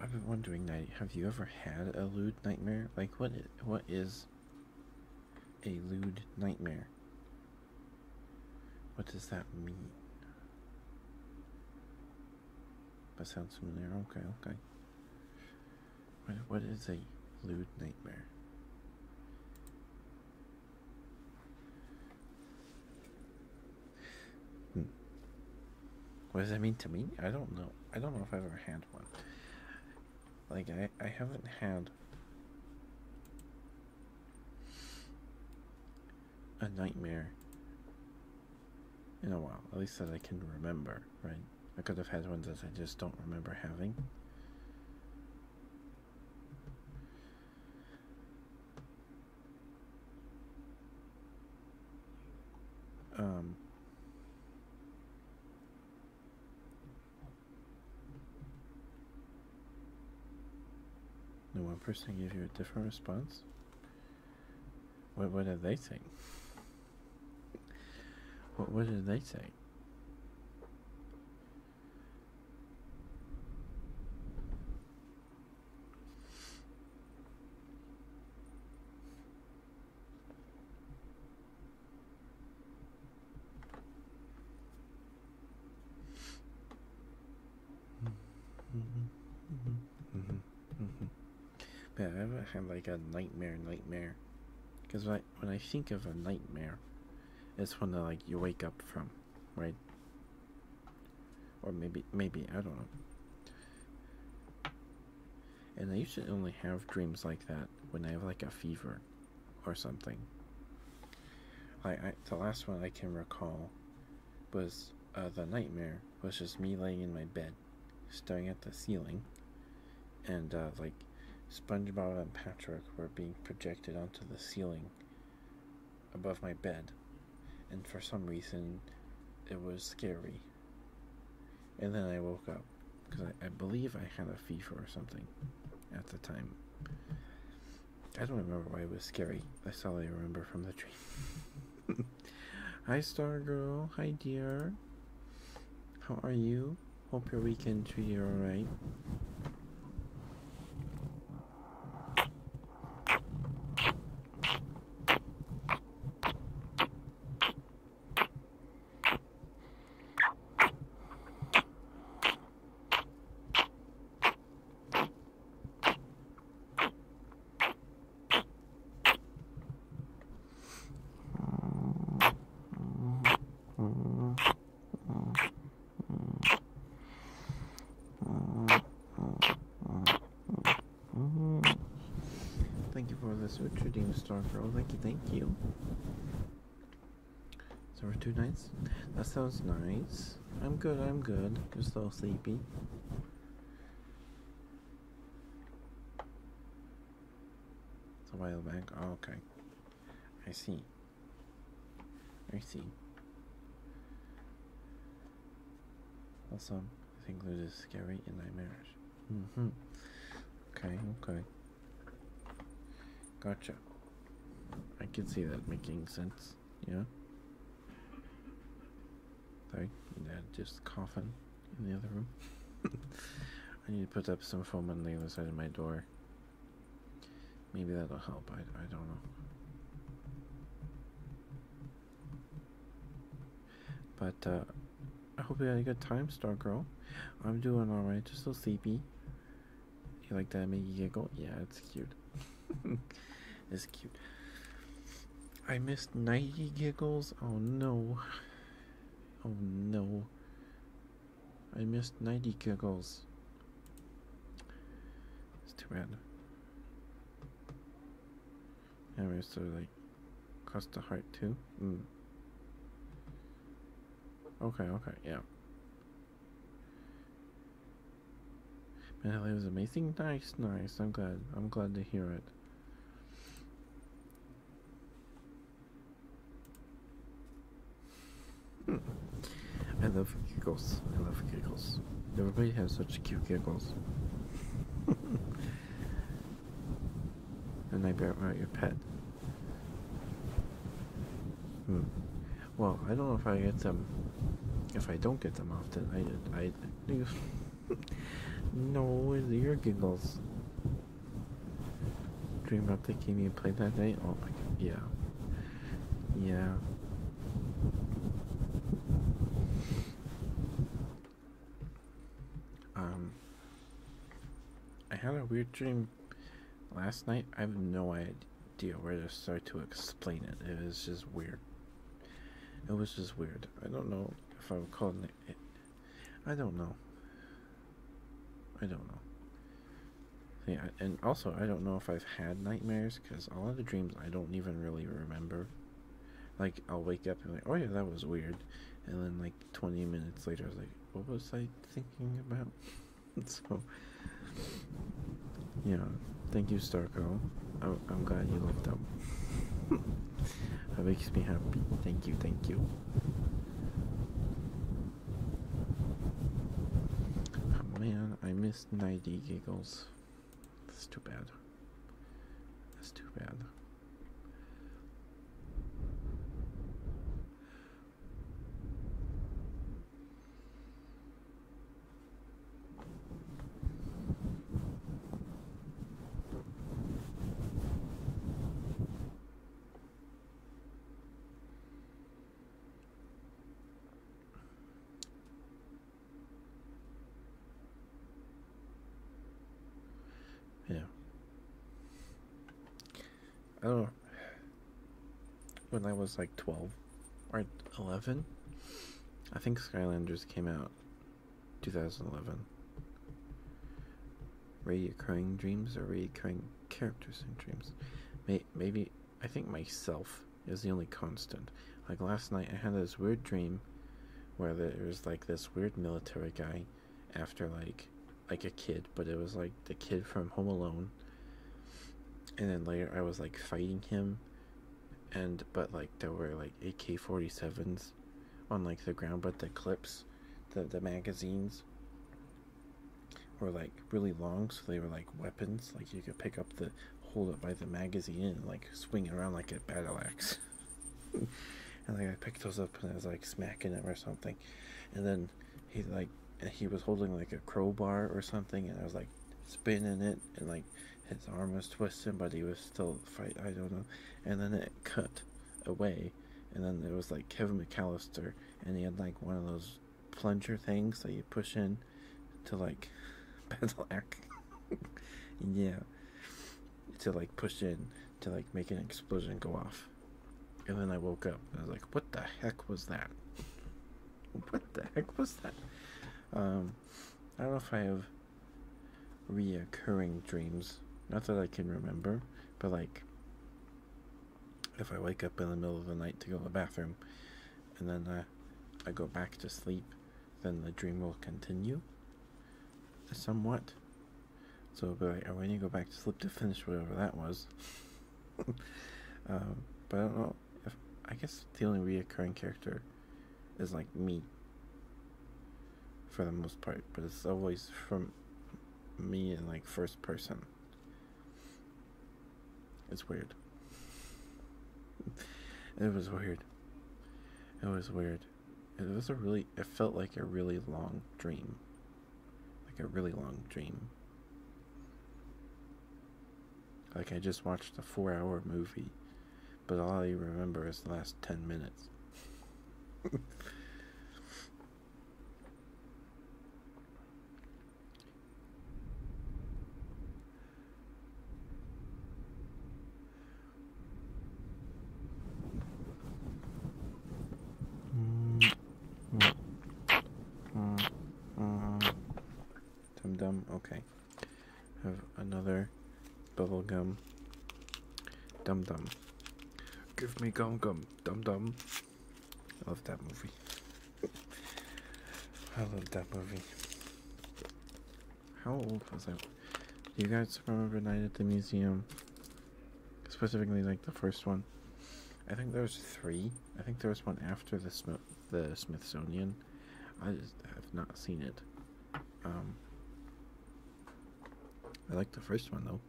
Speaker 2: I've been wondering, Night, have you ever had a lewd nightmare? Like, what? Is, what is a lewd nightmare? What does that mean? That sounds familiar. Okay, okay. What, what is a lewd nightmare? Hmm. What does that mean to me? I don't know. I don't know if I've ever had one. Like, I, I haven't had a nightmare in a while, at least that I can remember, right? I could have had ones that I just don't remember having. Um, the one person gave you a different response. What, what did they think? What, what did they say?
Speaker 3: Mm-hmm. Mm-hmm. hmm hmm
Speaker 2: Man, I've had like a nightmare nightmare. Because when I, when I think of a nightmare, it's one that uh, like you wake up from, right? Or maybe, maybe, I don't know. And I usually only have dreams like that when I have like a fever or something. I, I the last one I can recall was uh, the nightmare was just me laying in my bed staring at the ceiling, and uh, like SpongeBob and Patrick were being projected onto the ceiling above my bed, and for some reason, it was scary. And then I woke up because I, believe I had a fever or something at the time. I don't remember why it was scary. I all remember from the dream. <laughs> hi, Stargirl. Hi, dear. How are you? Hope your weekend treated you alright. Thank you for this switch redeem star pro. Thank you, thank you. So we're two nights? That sounds nice. I'm good, I'm good. Just a little sleepy. It's a while back. Oh, okay. I see. I see. Also, I think this is scary and nightmarish. Mm-hmm. Okay, okay. Gotcha. I can see that making sense, yeah? Sorry, that just coughing in the other room. <laughs> I need to put up some foam on the other side of my door. Maybe that'll help. I, I don't know. But uh, I hope you had a good time, Star Girl. I'm doing alright. Just a little sleepy. You like that? Make you giggle? Yeah, it's cute. <laughs> it's cute. I missed ninety giggles. Oh no. Oh no. I missed 90 giggles. It's too bad. Anyway, so like, cost the heart too? Mm. Okay, okay, yeah. Man, that was amazing. Nice, nice. I'm glad. I'm glad to hear it. Hmm. I love giggles. I love giggles. Everybody has such cute giggles. <laughs> and I bet about your pet. Hmm. Well, I don't know if I get them. If I don't get them often, I I. I <laughs> no, your giggles. Dream about the game you played that night? Oh my god, yeah. Yeah. Um, I had a weird dream last night. I have no idea where to start to explain it. It was just weird. It was just weird. I don't know if I would call it I don't know. I don't know. Yeah, and also I don't know if I've had nightmares because a lot of the dreams I don't even really remember. Like I'll wake up and like, oh yeah, that was weird, and then like twenty minutes later I was like, what was I thinking about? <laughs> so, yeah, thank you, Starco. I'm I'm glad you looked up. <laughs> That makes me happy. Thank you, thank you. man, I missed 90 giggles. That's too bad. That's too bad. Yeah. I don't. When I was like 12 or 11, I think Skylanders came out 2011 reoccurring dreams or reoccurring characters in dreams. May maybe I think myself is the only constant. Like last night, I had this weird dream where there was like this weird military guy after like like a kid, but it was like the kid from Home Alone. And then later, I was like fighting him, and but like there were like AK 47s on like the ground, but the clips, the the magazines were like really long, so they were like weapons. Like you could pick up the hold it by the magazine and like swing it around like a battle axe. <laughs> and like I picked those up and I was like smacking him or something. And then he like he was holding like a crowbar or something and I was like spinning it and like his arm was twisting but he was still fight I don't know. And then it cut away. And then it was like Kevin McAllister, and he had like one of those plunger things that you push in to like Bedlack. <laughs> <laughs> yeah. To like push in to like make an explosion go off. And then I woke up I was like, what the heck was that? <laughs> what the heck was that? Um, I don't know if I have reoccurring dreams. Not that I can remember, but like if I wake up in the middle of the night to go to the bathroom and then I go back to sleep, then the dream will continue somewhat. So it'll be I need to go back to sleep to finish whatever that was. <laughs> Um, but I don't know. If, I guess the only reoccurring character is like me for the most part, but it's always from me in like first person. It's weird. It was weird. It was weird. It was a really, it felt like a really long dream. Like a really long dream. Like I just watched a four hour movie, but all I remember is the last 10 minutes. <laughs> Dum dum. Okay. Have another bubble gum. Dum dum. Give me gum gum. Dumb dumb, I love that movie. I love that movie. How old was I? Do you guys remember Night at the Museum? Specifically, like the first one. I think there was three. I think there was one after the Smith the Smithsonian. I just have not seen it. Um, I like the first one though.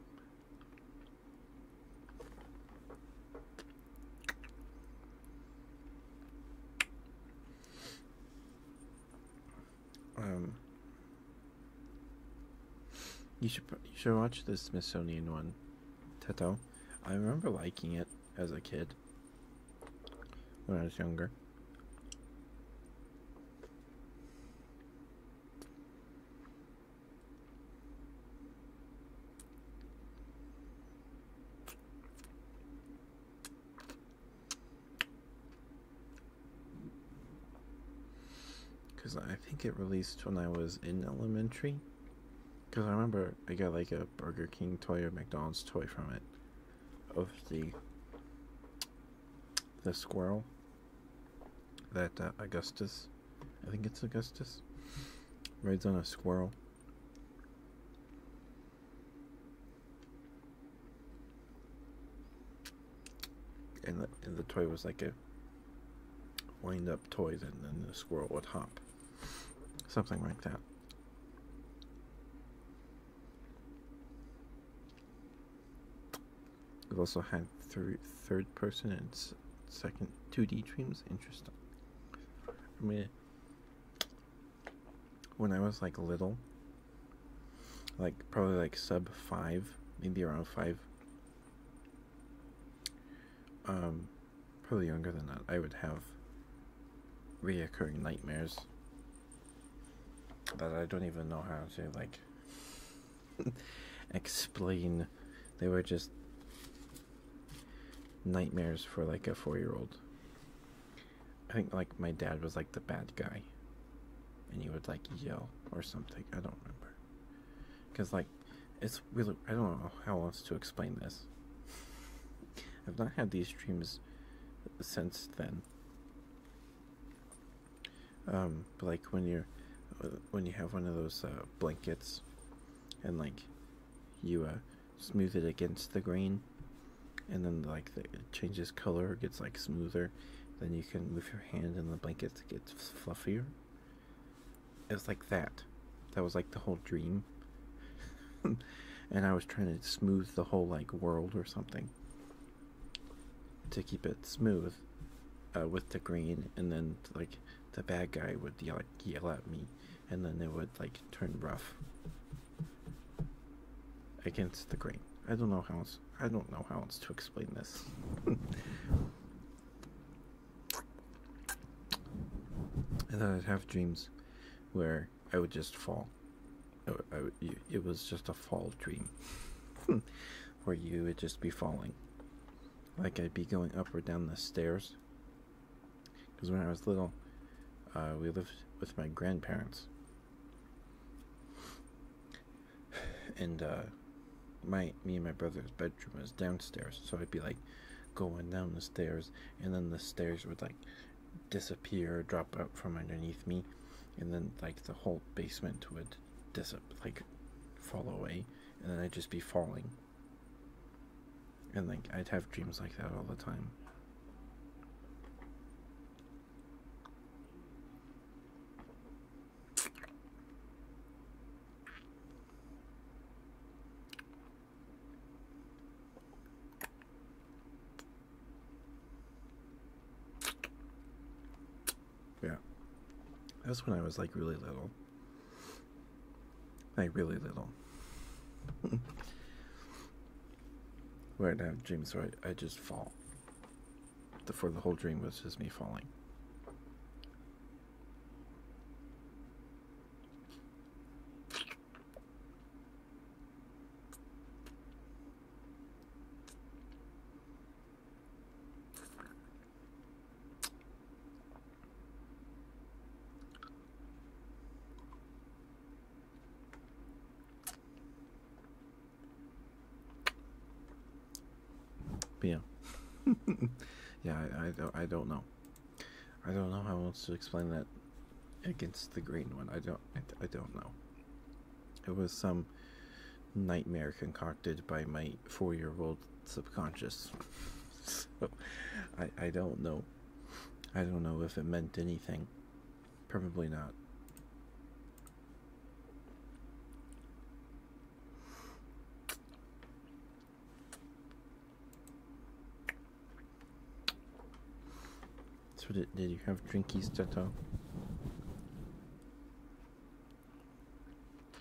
Speaker 2: Um, you should you should watch the Smithsonian one, Tato. I remember liking it as a kid when I was younger. Because I think it released when I was in elementary. Because I remember I got like a Burger King toy or McDonald's toy from it. Of the the squirrel that uh, Augustus I think it's Augustus. Rides on a squirrel. And the, and the toy was like a wind up toy, and then the squirrel would hop. Something like that. We've also had third, third person and second 2D dreams. Interesting. I mean, when I was like little, like probably like sub five, maybe around five, um, probably younger than that, I would have reoccurring nightmares that I don't even know how to like <laughs> explain. They were just nightmares for like a four year old. I think like my dad was like the bad guy. And he would like yell or something. I don't remember. Because like it's really I don't know how else to explain this. <laughs> I've not had these dreams since then. Um, but like when you're when you have one of those uh, blankets and like you uh, smooth it against the grain and then like it changes color gets like smoother then you can move your hand and the blanket gets fluffier it was like that that was like the whole dream <laughs> and i was trying to smooth the whole like world or something to keep it smooth uh, with the green, and then like the bad guy would yell, yell at me, and then they would like turn rough against the green. I don't know how else. I don't know how else to explain this. <laughs> and then I'd have dreams where I would just fall. it was just a fall dream <laughs> where you would just be falling like I'd be going up or down the stairs. Because when I was little, uh, we lived with my grandparents. And uh, my me and my brother's bedroom was downstairs, so I'd be like going down the stairs, and then the stairs would like disappear, or drop out from underneath me, and then like the whole basement would dis like fall away and then I'd just be falling. And like I'd have dreams like that all the time. Yeah. That's when I was like really little. Like really little. <laughs> Where I'd have dreams where I just fall. for the whole dream was just me falling yeah, <laughs> yeah, I, I, don't, I don't know. I don't know how else to explain that against the green one. I don't, I, I don't know. It was some nightmare concocted by my four year old subconscious. I, I don't know. I don't know if it meant anything. Probably not. So did, did you have drinkies, Toto?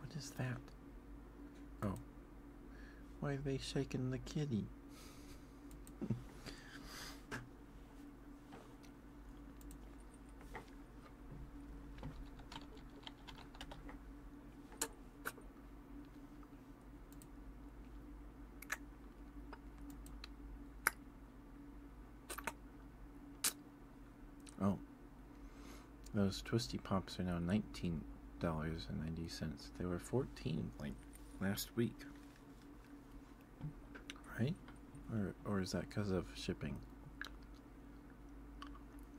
Speaker 2: What is that? Oh. Why are they shaking the kitty? oh. Those Twisty Pops are now $19.90. They were 14 like last week. Right? Or, or is that because of shipping?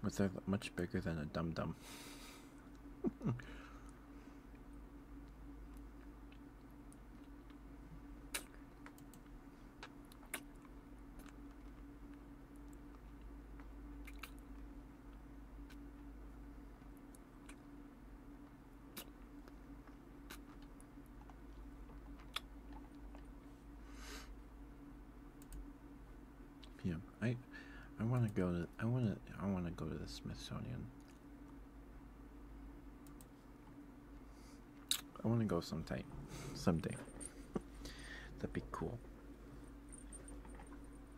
Speaker 2: But they much bigger than a dum dum. Yeah, I, I want to go to. I want to. I want to go to the Smithsonian. I want to go sometime, someday. That'd be cool.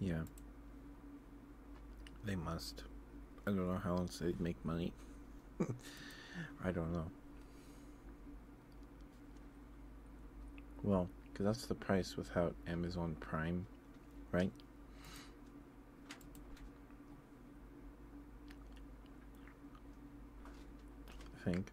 Speaker 2: Yeah. They must. I don't know how else they'd make money. <laughs> I don't know. Well, because that's the price without Amazon Prime, right? I think.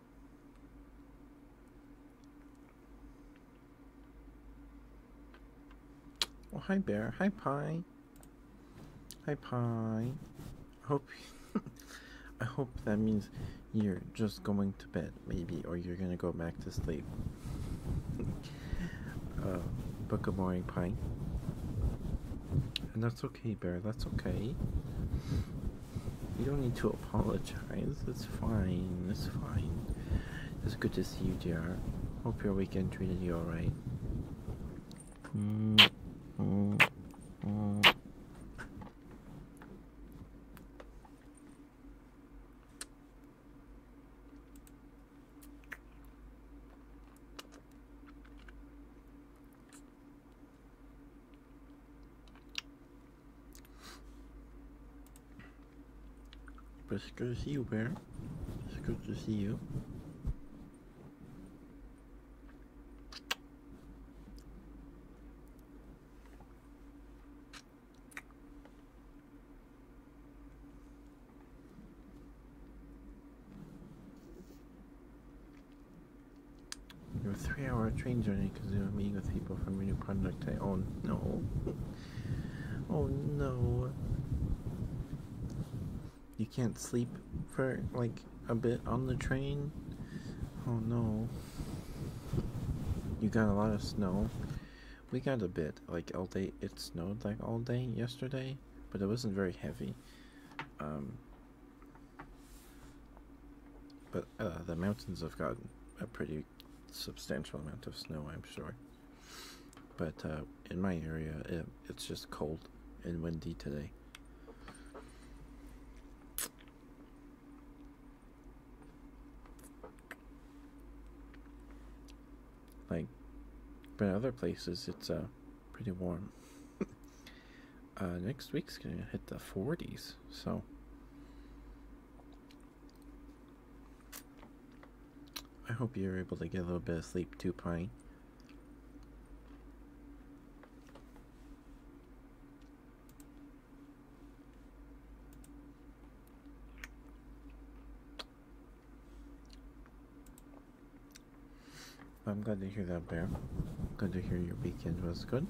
Speaker 2: Oh, hi, Bear. Hi, Pie. Hi, Pie. I hope... <laughs> I hope that means you're just going to bed, maybe, or you're gonna go back to sleep. <laughs> uh, but good morning, Pie. And that's okay, Bear. That's okay. You don't need to apologize. It's fine. It's fine. It's good to see you, dear. Hope your weekend treated you alright. But you good to see you, It's good to see you. You're Your three hour train journey because you are meeting with people from a new product I own. Oh, no. oh no. You can't sleep for like a bit on the train? Oh no. You got a lot of snow. We got a bit, like all day. It snowed like all day yesterday, but it wasn't very heavy. Um, but uh, the mountains have got a pretty substantial amount of snow, I'm sure. But uh, in my area, it's just cold and windy today. Like, but other places, it's uh, pretty warm. <laughs> Uh, next week's going to hit the 40s, so. I hope you're able to get a little bit of sleep too, Pine. I'm glad to hear that, Bear. Glad to hear you're weekend was good.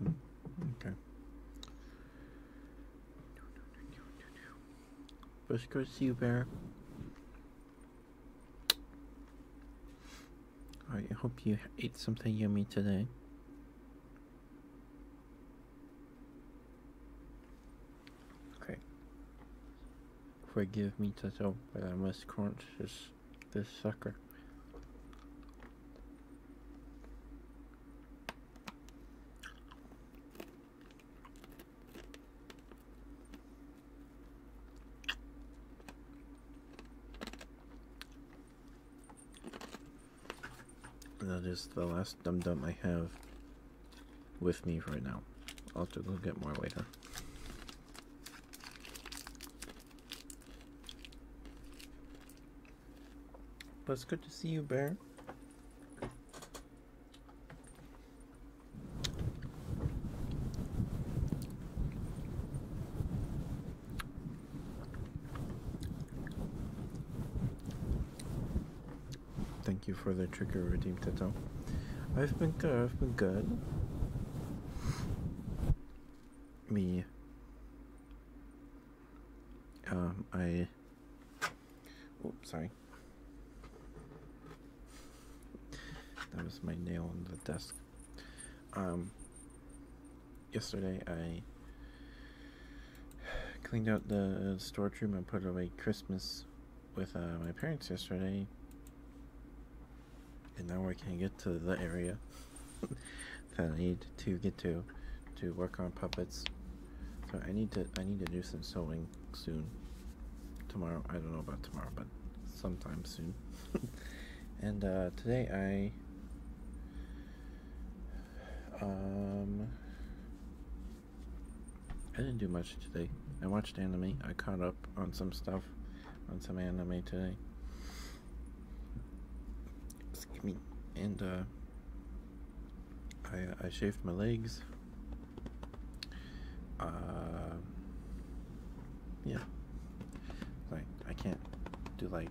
Speaker 2: Hmm. Okay. First go see you, there. I hope you ate something yummy today. Okay. Forgive me, Toto, but I must crunch this, this sucker. That is the last dum dum I have with me right now. I'll have to go get more later. But it's good to see you, Bear. Thank you for the trigger redeem Tato. I've been good, I've been good. Me. Um, I. Oh, sorry. That was my nail on the desk. Um, yesterday I cleaned out the storage room and put away Christmas with uh, my parents yesterday, and now I can get to the area <laughs> that I need to get to to work on puppets. So I need to I need to do some sewing soon. Tomorrow I don't know about tomorrow, but sometime soon. <laughs> and uh, today I um I didn't do much today. I watched anime. I caught up on some stuff, on some anime today. Excuse me. And uh, I, I shaved my legs. Uh, yeah. Like, I can't do like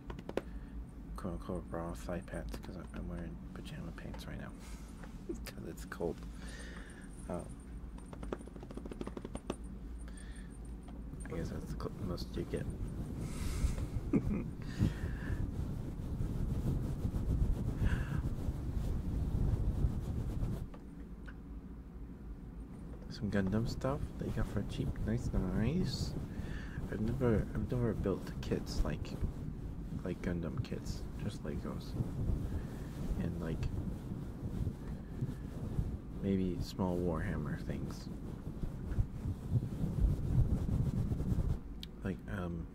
Speaker 2: quote unquote bra side pants because I'm wearing pajama pants right now because <laughs> it's cold. Uh, I guess that's the most you get. <laughs> Some Gundam stuff that you got for cheap, nice, nice. I've never, I've never built kits like, like Gundam kits, just Legos, and like maybe small Warhammer things. Like, um,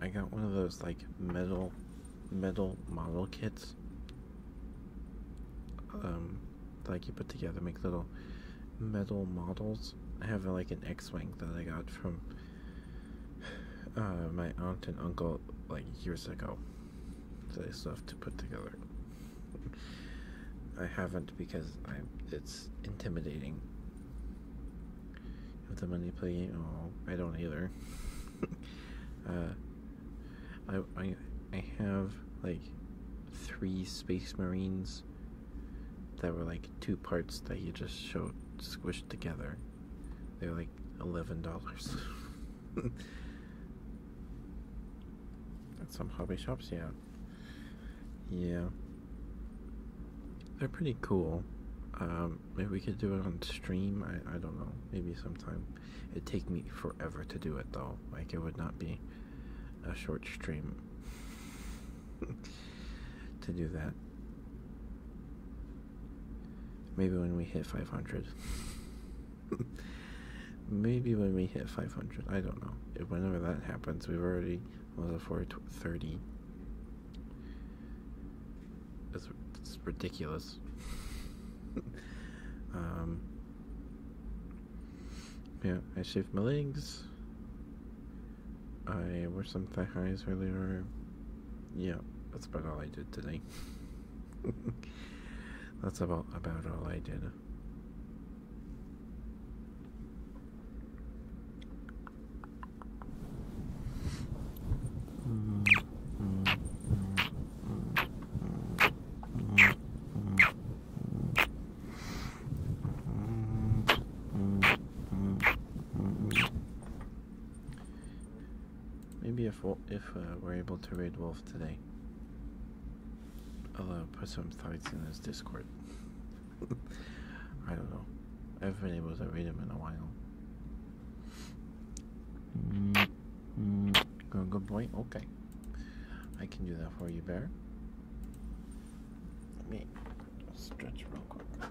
Speaker 2: I got one of those like metal, metal model kits. Um, like you put together, make little metal models. I have like an X-wing that I got from uh, my aunt and uncle like years ago. So I still have to put together. I haven't because I it's intimidating. With the money play, oh, I don't either. <laughs> uh, I, I I have like three Space Marines that were like two parts that you just show squished together. They were like eleven dollars. At some hobby shops, yeah. Yeah. They're pretty cool. Um, maybe we could do it on stream. I I don't know. Maybe sometime. It'd take me forever to do it though. Like it would not be a short stream <laughs> to do that. Maybe when we hit 500. Maybe when we hit 500. I don't know. whenever that happens, we've already was well, a 430. It's, it's ridiculous. <laughs> um, yeah, I shaved my legs. I wore some thigh highs earlier. Yeah, that's about all I did today. <laughs> That's about about all I did. Maybe if if uh, we're able to raid Wolf today, I'll put some thoughts in his Discord. <laughs> I don't know. I haven't been able to raid him in a while. Mm, good, mm, good boy. Okay, I can do that for you, Bear. Let me stretch real quick.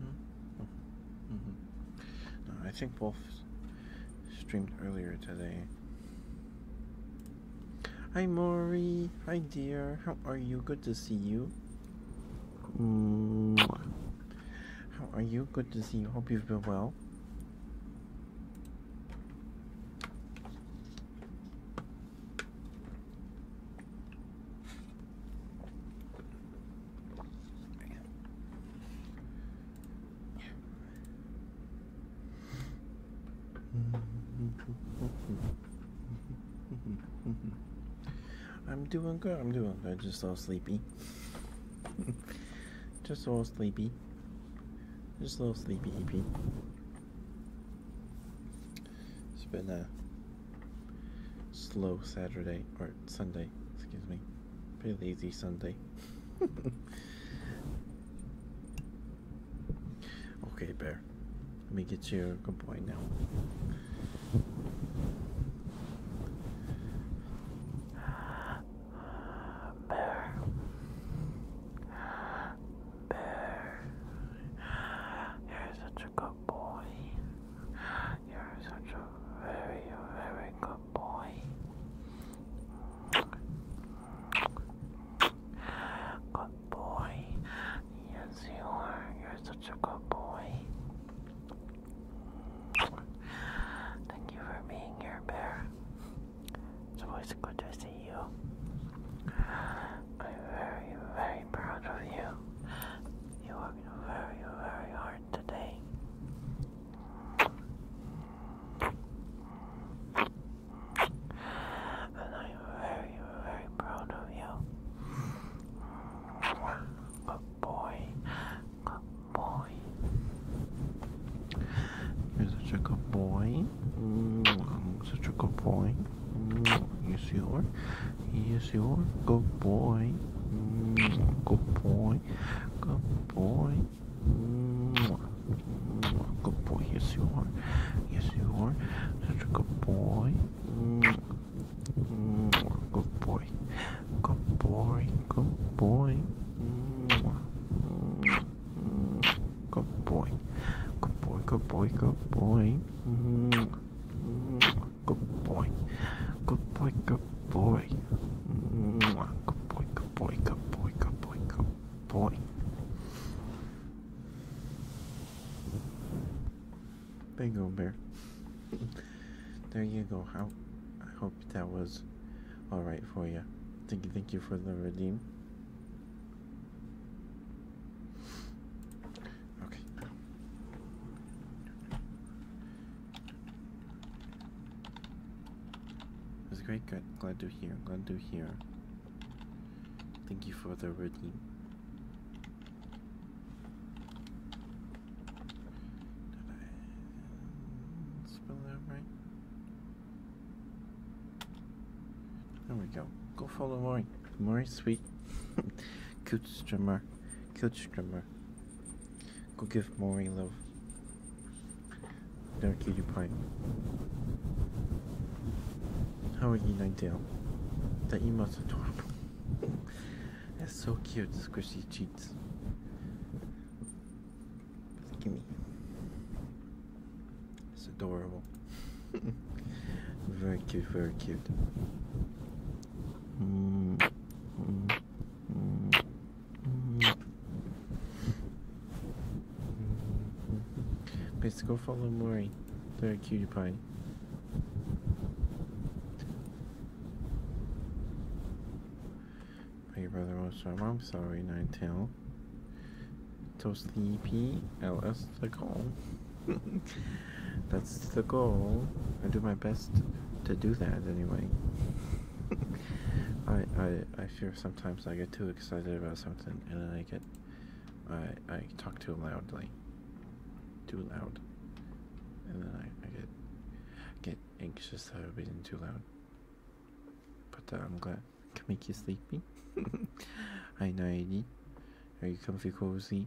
Speaker 2: Mm-hmm. Mm-hmm. Mm-hmm. I think Wolf streamed earlier today. Hi, Maury. Hi, dear. How are you? Good to see you. How are you? Good to see you. Hope you've been well. <laughs> I'm doing good. I'm doing good. Just a little <laughs> sleepy. Just a little sleepy. Just a little sleepy it's been a slow Saturday or Sunday, excuse me. Pretty lazy Sunday. <laughs> okay, Bear. Let me get you a good point now. Bear. Bear. You're such a boy. You're such
Speaker 1: a very, very good boy. Good boy. Yes, you are. You're such a good boy. Thank you for being here, Bear. It's always good to see you. I'm very, very proud of you. You worked very, very hard today.
Speaker 2: And I'm very, very proud of you. Good boy. Good boy. such a good boy. Mm, such a good boy. Mm, yes, you are. Yes, you are. Good boy. Mm, good boy. Good boy. Mm, good boy. Yes, you are. Yes, you are. Such a good boy. Good boy. Good boy. Good boy. Good boy. Good boy. Good boy. Good boy. Good boy. Good boy. Good boy. Mwah. Good boy. Good boy. Good boy. Good boy. Good boy. Bingo bear. there you go. How I hope that was all right for you. Thank you. Thank you for the redeem. Okay. That's great. Good. Glad to hear. Glad to hear. Thank you for the reading. Spell that right. There we go. Go follow Mori. Mori, sweet. <laughs> Good drummer. Good Scrimmer. Go give Maureen love. Don't kill you pine. How are you, Nightdale? That you must adorable. That's so cute, squishy cheeks. Gimme. It's adorable. <laughs> very cute, very cute. Let's go follow Mori, the cutie pie. Big brother wants to I'm sorry, Nine Tail. So sleepy, LS the call. <laughs> That's the goal. I do my best to do that anyway. I, I I fear sometimes I get too excited about something and then I get I I talk too loudly. Too loud. And then I, I get get anxious that I've been too loud. But uh, I'm glad I make you sleepy. I <laughs> Hi Naidi. Are you comfy cozy?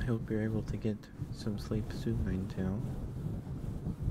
Speaker 2: I hope you're able to get some sleep soon, Ninetale.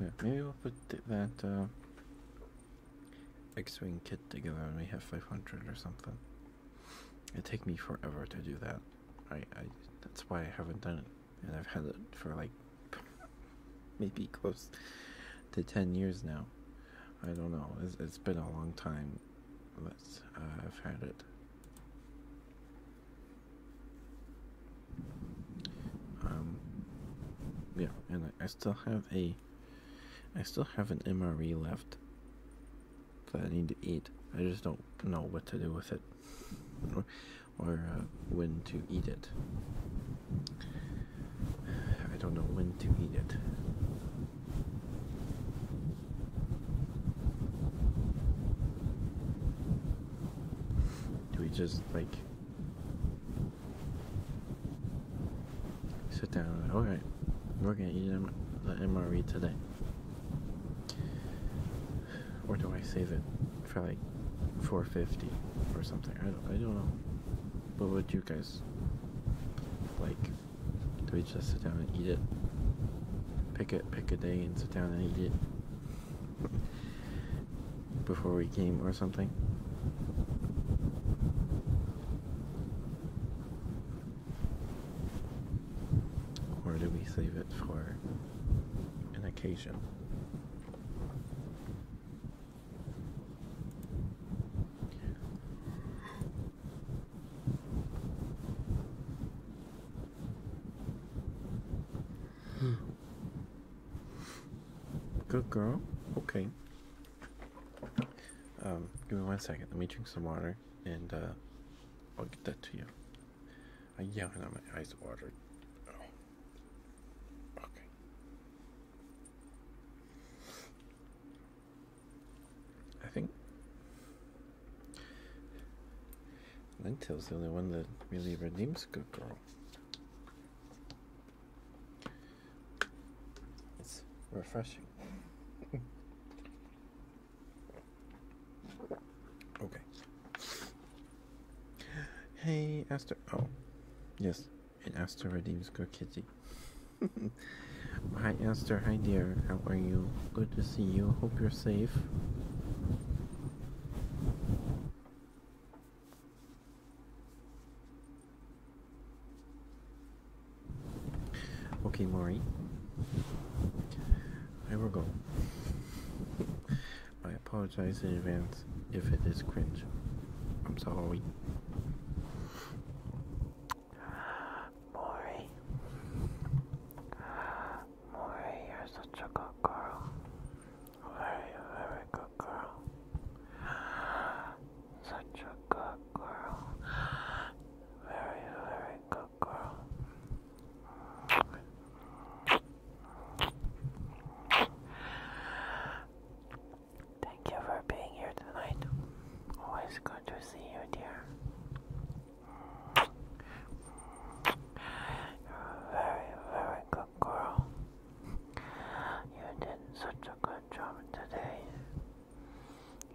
Speaker 2: Yeah, maybe we'll put that uh, X-wing kit together and we have 500 or something. It take me forever to do that. I, I that's why I haven't done it, and I've had it for like <laughs> maybe close to ten years now. I don't know. It's, it's been a long time. let uh, I've had it. Um. Yeah, and I, I still have a. I still have an MRE left that I need to eat. I just don't know what to do with it or, uh, when to eat it. I don't know when to eat it. Do we just like sit down all right, we're gonna eat the MRE today. Or do I save it for like 450 or something? I don't, I don't know. But would you guys like? Do we just sit down and eat it? Pick it, pick a day and sit down and eat it before we came or something. Or do we save it for an occasion? Hmm. Good girl. Okay. Um, give me one second. Let me drink some water and uh, I'll get that to you. I uh, yeah, now my eyes water. Oh. Okay. I think Lentil's the only one that really redeems good girl. It's refreshing. <laughs> Okay. Hey, Aster. Oh, yes. And Aster redeems good kitty. <laughs> hi, Aster. Hi, dear. How are you? Good to see you. Hope you're safe. Okay, Maury. I will go. I apologize in advance if it is cringe. I'm sorry. Maury. Maury, you're such a good girl. Very, very good girl. Such
Speaker 1: a good girl. Very, very good girl. Thank you for being here tonight. Always good to see you, dear. You're a very, very good girl. You did such a good job today.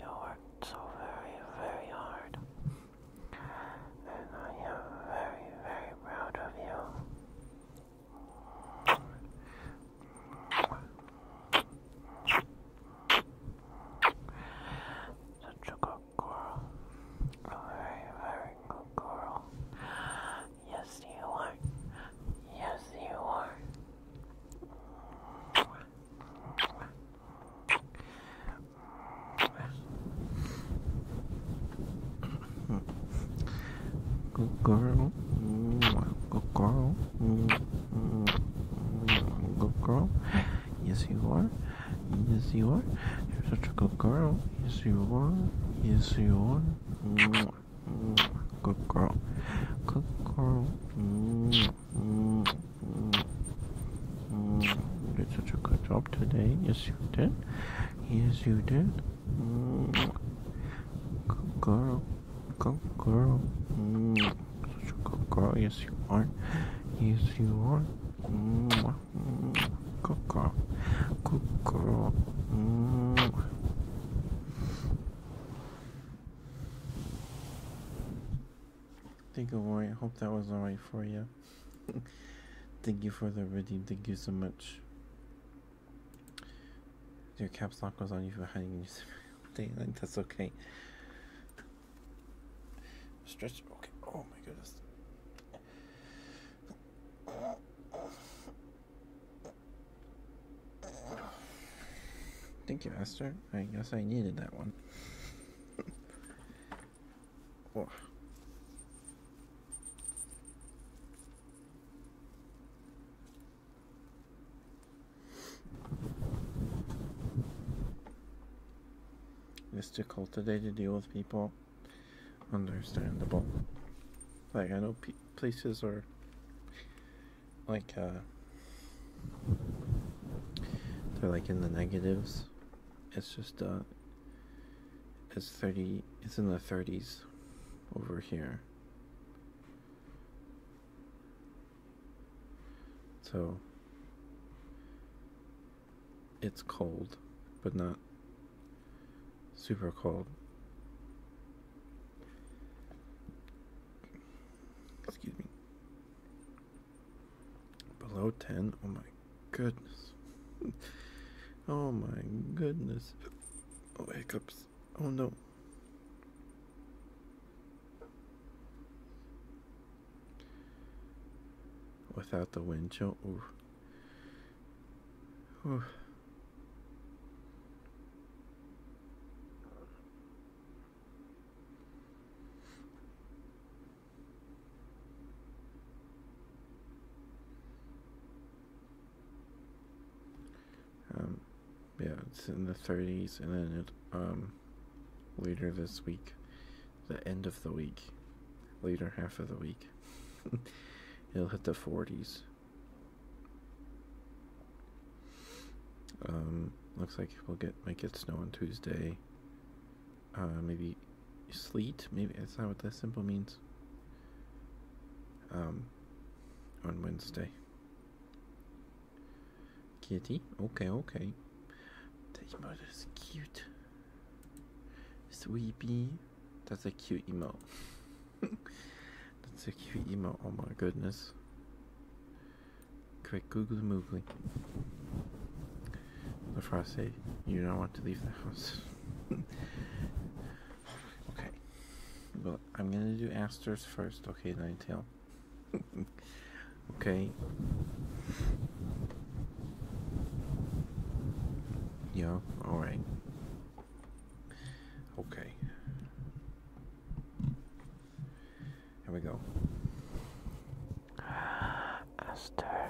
Speaker 1: You worked so very, very hard. And I am very, very proud of you. Such a good girl. A very, very good girl. Yes, you are. Yes, you are.
Speaker 2: Good girl. Good girl. Good girl. Yes, you are. Yes, you are. You're such a good girl. Yes, you are. Yes, you are. Good girl. Good girl. You did such a good job today. Yes, you did. Yes, you did. Good girl. Good girl. Such a good girl. Yes, you are. Yes, you are. Good girl. Good girl. Thank you, Roy. Hope that was alright for you. <laughs> Thank you for the reading. Thank you so much. Your caps lock was on you for hiding your daylight. <laughs> That's okay. Stretch. Okay. Oh my goodness. Thank you, master. I guess I needed that one oh. Just too today to deal with people. Understandable. Like I know places are like uh, they're like in the negatives. It's just uh it's 30 it's in the 30s over here. So it's cold, but not super cold. Excuse me. Below 10? Oh my goodness. <laughs> oh my goodness. Oh, hiccups. Oh no. Without the wind chill? Ooh. Ooh. Um, yeah, it's in the 30s, and then it, um, later this week, the end of the week, later half of the week, <laughs> it'll hit the 40s. Um, looks like we'll get might get snow on Tuesday. Uh, maybe sleet. Maybe that's not what that simple means. Um, on Wednesday. Kitty. Okay, okay. That emote is cute. Sweepy. That's a cute emote. <laughs> That's a cute emote. Oh my goodness. Quick, googly moogly. Before I say, you don't want to leave the house. <laughs> okay. Well, I'm gonna do asters first, okay, Ninetale? <laughs> okay. Yeah, alright. Okay. Here we go.
Speaker 1: Esther,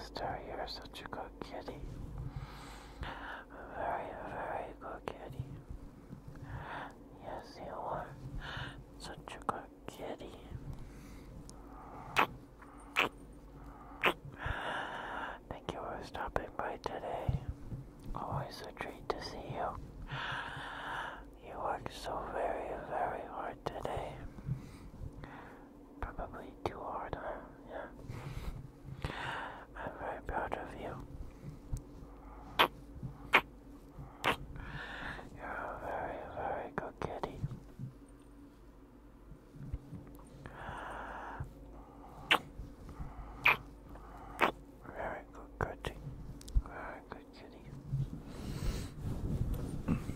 Speaker 1: Esther, you're such a good kitty. Very, very good kitty. Yes, you are such a good kitty. Thank you for stopping by today. Always a treat to see you. You worked so very, very hard today. Probably too hard, Yeah. I'm very proud of you. You're a very,
Speaker 2: very good kitty. Very good kitty. Very good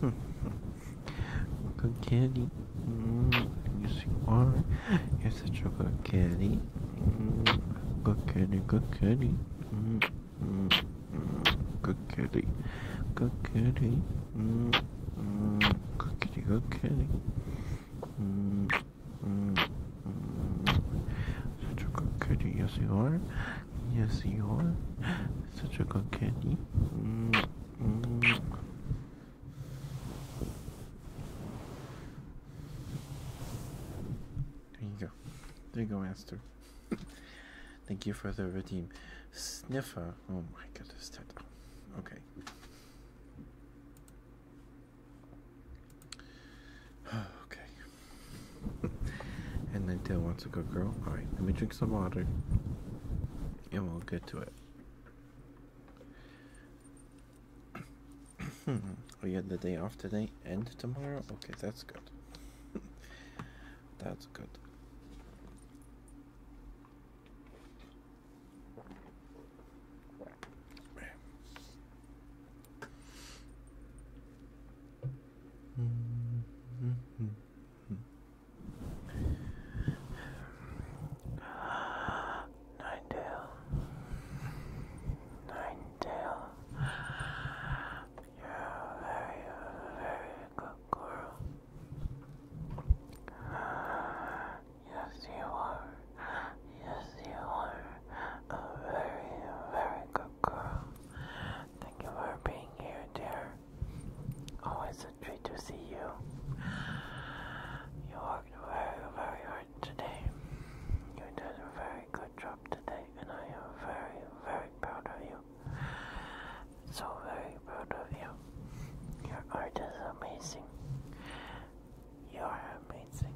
Speaker 2: kitty. good kitty. Mm, yes, you are. You're such a good kitty. Mm, good kitty, good kitty. Mm, mm, good kitty. Good kitty. Mm, mm, good kitty, good kitty. Mm, mm, mm. Such a good kitty, yes, you are. Yes, you are. Such a good kitty. There you go. There you go, Master. Thank you for the redeem. Sniffer. Oh my goodness, that. Okay. <sighs> okay. <laughs> and then Dale wants a good girl. Alright, let me drink some water and we'll get to it. <clears throat> we had the day off today and tomorrow? Okay, that's good. <laughs> that's good.
Speaker 3: Ninetale, Ninetale, you're a very, very good girl. Yes, you are. Yes, you are a very, very good girl. Thank you for being here, dear. Always a treat to
Speaker 1: see you. You worked very, very hard today. You did a very good job today, and
Speaker 3: I am very, very proud of you. So very proud of you. Your art is amazing.
Speaker 1: You are amazing.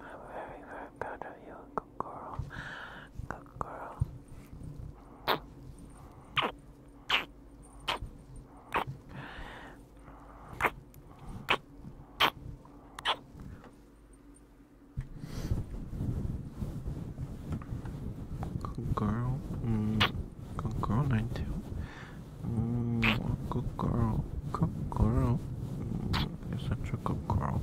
Speaker 1: I'm very, very proud of you. Good girl. Good
Speaker 2: girl. Good girl. Mm, good girl, nine two. Mm, good girl. Good girl. Mm, you're such a good girl.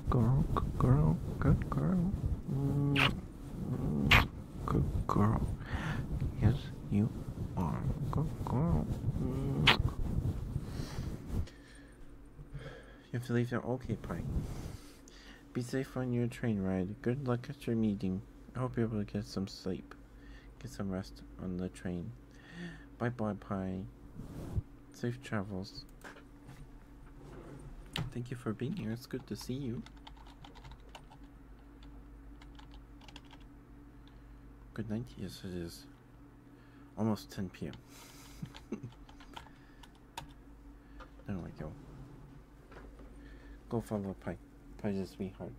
Speaker 2: Good girl, good girl, good girl. Good girl. Yes, you are. Good girl. You have to leave now. Okay, Pike. Be safe on your train ride. Good luck at your meeting. I hope you're able to get some sleep. Get some rest on the train. Bye bye, Pie. Safe travels. Thank you for being here. It's good to see you. Good night. Yes, it is. Almost 10 p.m. <laughs> there we go. Go follow Pie. just a sweetheart.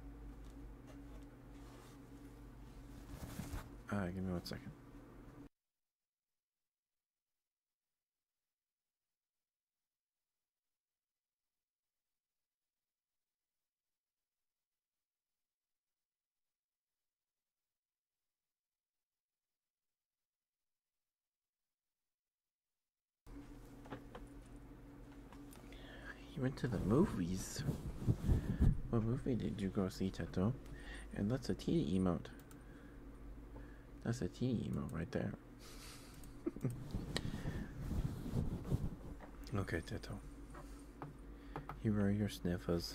Speaker 2: Uh, give me one second. You went to the movies. What movie did you go see, Teto? And that's a T E tea that's a teeny emote right there. okay, Tito. Here are your sniffles.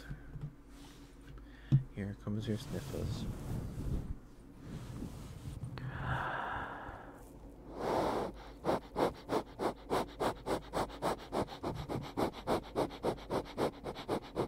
Speaker 2: Here comes your sniffles.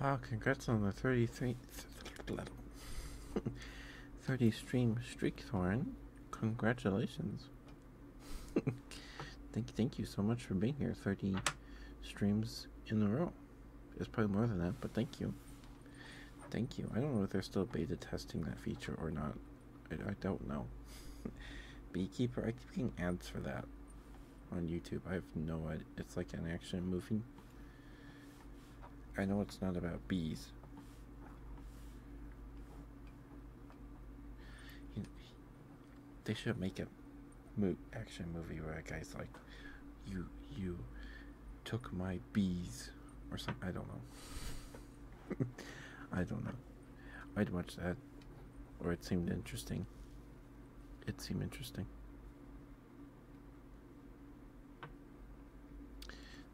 Speaker 2: Wow, congrats on the 33th level. <laughs> stream streak, Thorn. Congratulations. <laughs> thank, thank you so much for being here. 30 streams in a row. It's probably more than that, but thank you. Thank you. I don't know if they're still beta testing that feature or not. I, I don't know. <laughs> Beekeeper, I keep getting ads for that on YouTube. I have no idea. It's like an action movie. I know it's not about bees. they should make a mo action movie where a guy's like, "You you took my bees," or something. I don't know. <laughs> I don't know. I'd watch that, or it seemed interesting. It seemed interesting.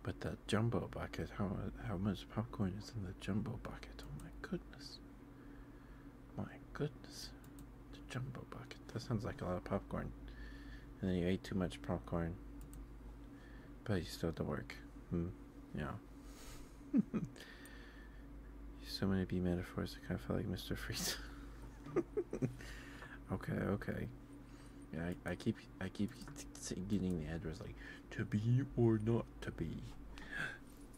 Speaker 2: But that jumbo bucket, how how much popcorn is in the jumbo bucket? Oh my goodness. My goodness. The jumbo bucket. That sounds like a lot of popcorn. And then you ate too much popcorn. But you still have to work. Hmm. Yeah. <laughs> so many B metaphors, I kind of felt like Mr. Freeze. <laughs> okay, okay. Yeah, I, keep I keep getting the address like to be or not to be.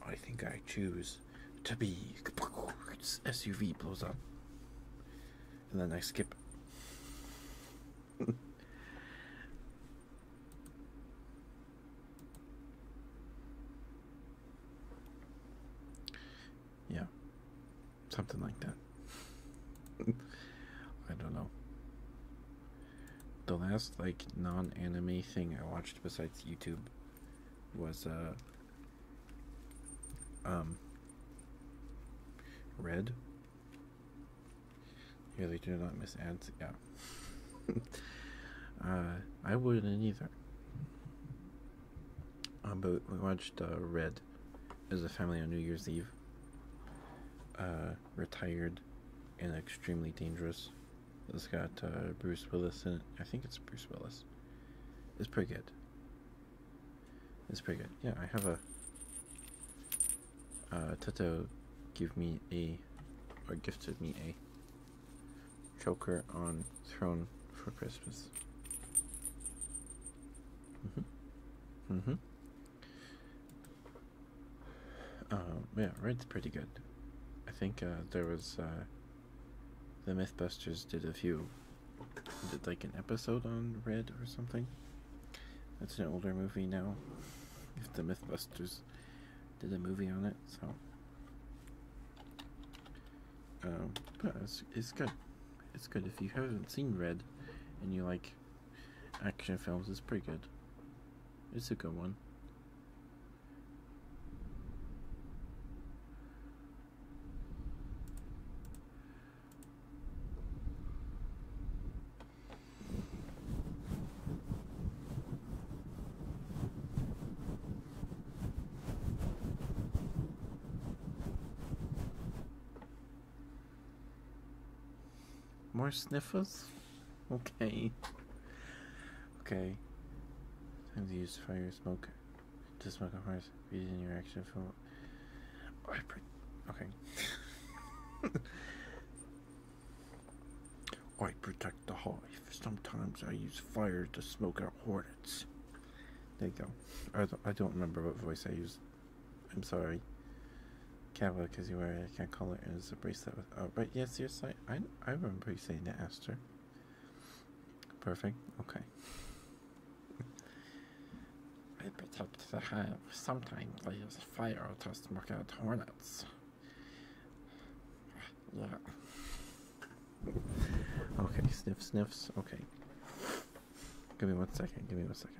Speaker 2: I think I choose to be. SUV blows up, and then I skip. <laughs> yeah, something like that. I don't know. The last like non-anime thing I watched besides YouTube was uh um Red. Here they do not miss ads. Yeah. <laughs> uh, I wouldn't either. Um, but we watched uh, Red as a family on New Year's Eve. Uh, retired and extremely dangerous. It's got uh, Bruce Willis in it. I think it's Bruce Willis. It's pretty good. It's pretty good. Yeah, I have a. Uh, Toto give me a, or gifted me a, choker on throne for Christmas. Mm hmm. Mm hmm. Uh, yeah, red's pretty good. I think uh, there was uh, the MythBusters did a few, did like an episode on Red or something. That's an older movie now. If the MythBusters did a movie on it, so um, but it's, it's good. It's good if you haven't seen Red, and you like action films is pretty good. It's a good one. More sniffers? Okay. Okay. Time to use fire smoke to smoke up fires. Reason your action film. Okay. <laughs> I protect the hive. Sometimes I use fire to smoke out hornets. There you go. I I don't remember what voice I used. I'm sorry. can't Cava, because you wear it, I can't call it. It's a bracelet with. Oh, right, yes, you're saying. I, I remember you saying that, Aster. Perfect, okay. <laughs> I protect the hive. Sometimes I use fire to smoke out hornets. <sighs> Yeah. okay, sniff, sniffs. Okay. Give me one second. Give me one second.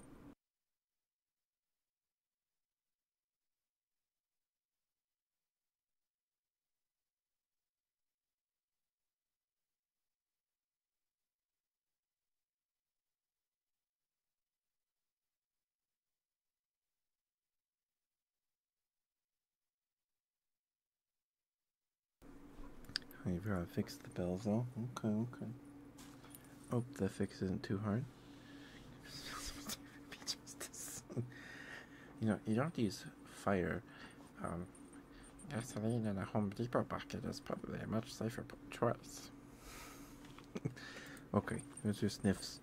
Speaker 2: Maybe I fixed the bells though. Okay, okay. Oh, the fix isn't too hard. <laughs> you know, you don't have to use fire. gasoline um, in a Home Depot bucket is probably a much safer choice. <laughs> okay, here's your sniffs.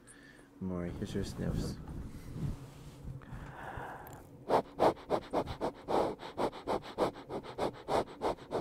Speaker 2: Maury, here's your sniffs. <laughs>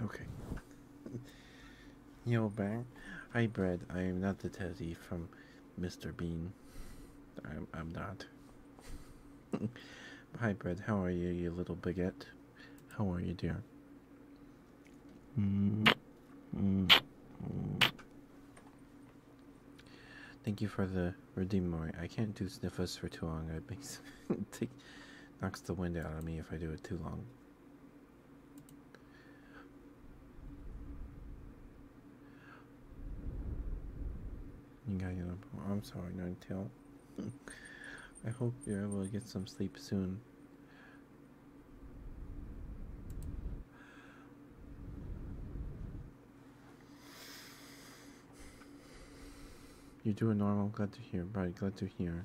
Speaker 2: Okay. Yo, Bang. Hi, Brad. I am not the Teddy from Mr. Bean. I'm, I'm not. <laughs> Hi, Brad. How are you, you little baguette? How are you, dear? Mm, mm, Thank you for the redeem I can't do sniffers for too long. It makes <laughs> knocks the wind out of me if I do it too long. You got your oh, I'm sorry, Ninetale. <laughs> I hope you're able to get some sleep soon. You do a normal, glad to hear. Right, glad to hear.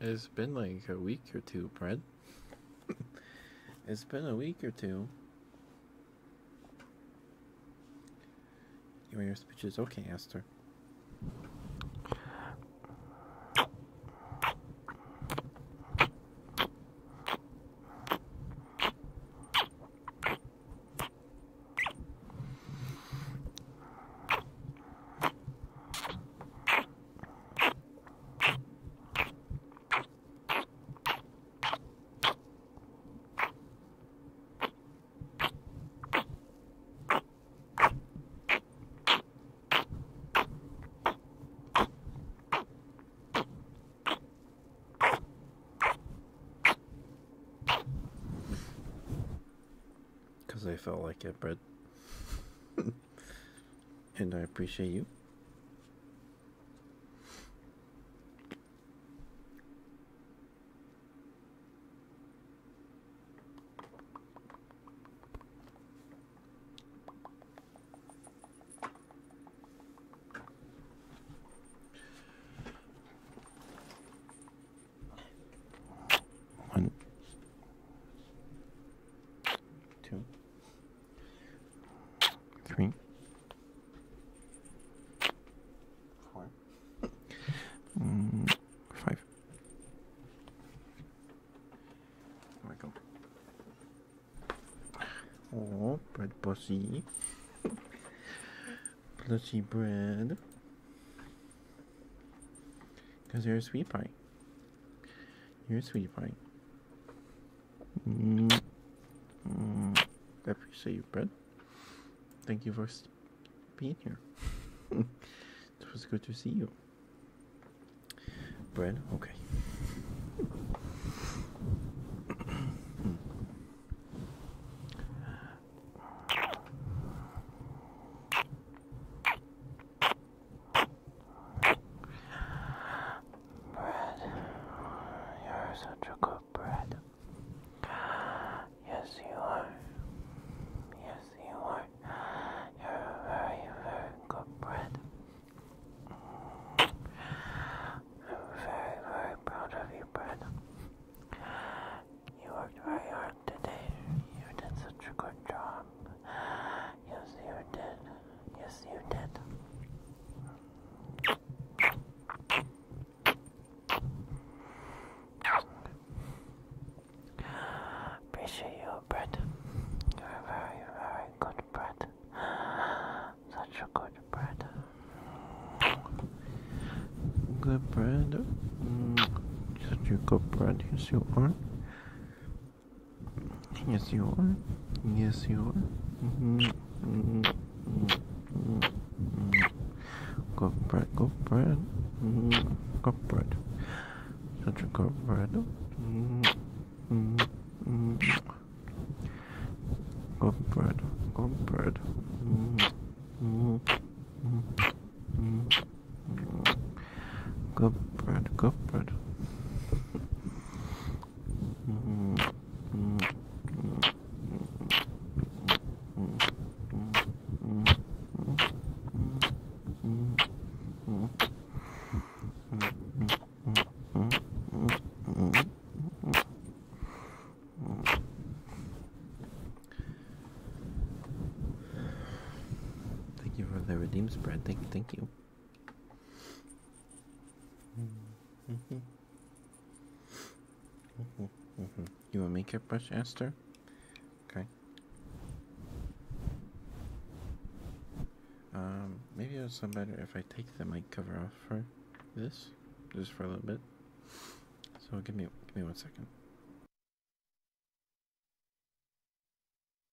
Speaker 2: It's been like a week or two, Brad. <laughs> it's been a week or two. Your speech is Okay, Esther. Because I felt like it, but <laughs> and I appreciate you. One, two, three, four, mm, There we go. Oh, bread pussy. Pussy bread. Because you're a sweet pie. You're a sweet pie. Mm. Mm. I appreciate you, Brad. Thank you for being here. <laughs> it was good to see you. Bread? Okay. Bread,
Speaker 1: you're such a good bread. Yes, you are. Yes, you are. You're very, very good bread. I'm very, very proud of you, bread. You worked very hard today. You did such a good job. Yes, you did. Yes, you did.
Speaker 2: Appreciate you, Brett. You're a very, very good bread. Such a good Brett. Good Brett. Such a good bread. Yes, you are. Yes, you are. Yes, you are. Mm -hmm. Mm -hmm. Mm -hmm. Such a good bread. Good bread, mm-hmm. good bread. Good bird, good bird. Thank you for the redeem spread. Thank you, thank you.
Speaker 3: Mm -hmm. Mm
Speaker 2: -hmm. Mm -hmm. You want makeup brush, Esther? Okay. Um, maybe it's some better if I take the mic cover off for this, just for a little bit. So give me give me one second.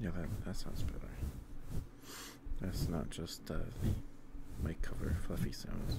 Speaker 2: Yeah, that, that sounds better. That's not just the uh, mic cover fluffy sounds.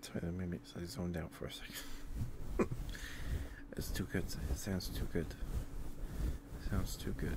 Speaker 2: Sorry, that made I zoned out for a second. <laughs> it's too good. It sounds too good. sounds too good.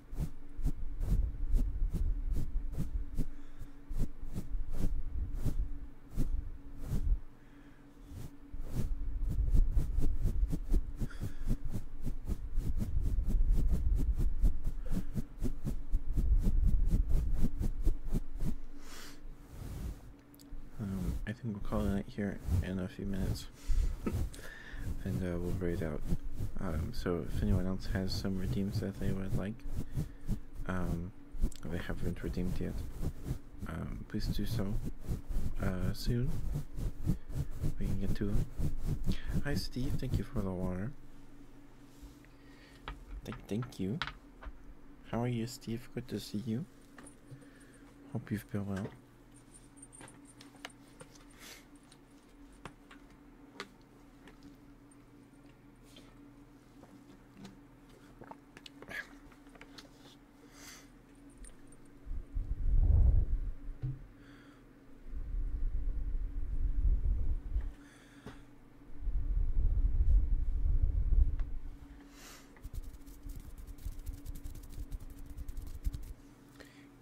Speaker 2: Um, I think we'll call it here in a few minutes and uh, we'll rate out. Um, so if anyone else has some redeems that they would like, um, they haven't redeemed yet, um, please do so uh, soon. We can get to Hi, Steve. Thank you for the water. Th thank you. How are you, Steve? Good to see you. Hope you've been well.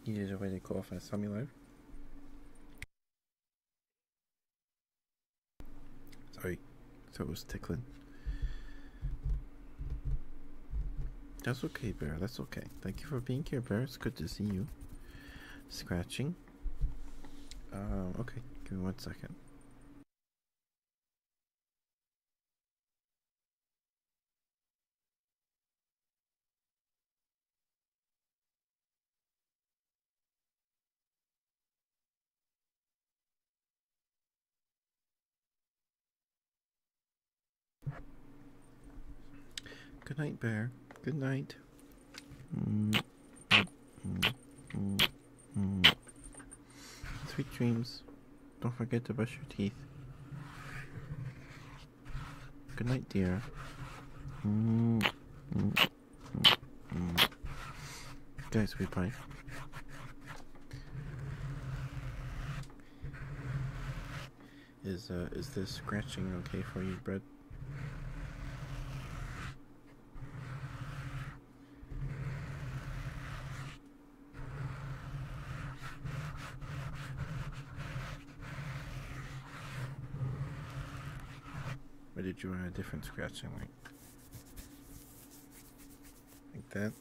Speaker 2: He is already qualified Samuel. Sorry, so it was tickling. That's okay, Bear. That's okay. Thank you for being here, Bear. It's good to see you. Scratching. Um, okay, give me one second. Good night, bear. Good night. Sweet dreams. Don't forget to brush your teeth. Good night, dear. Mm -hmm. Guys, we bye. Is uh, is this scratching okay for you, Brett? Or did you want a different scratching like like that?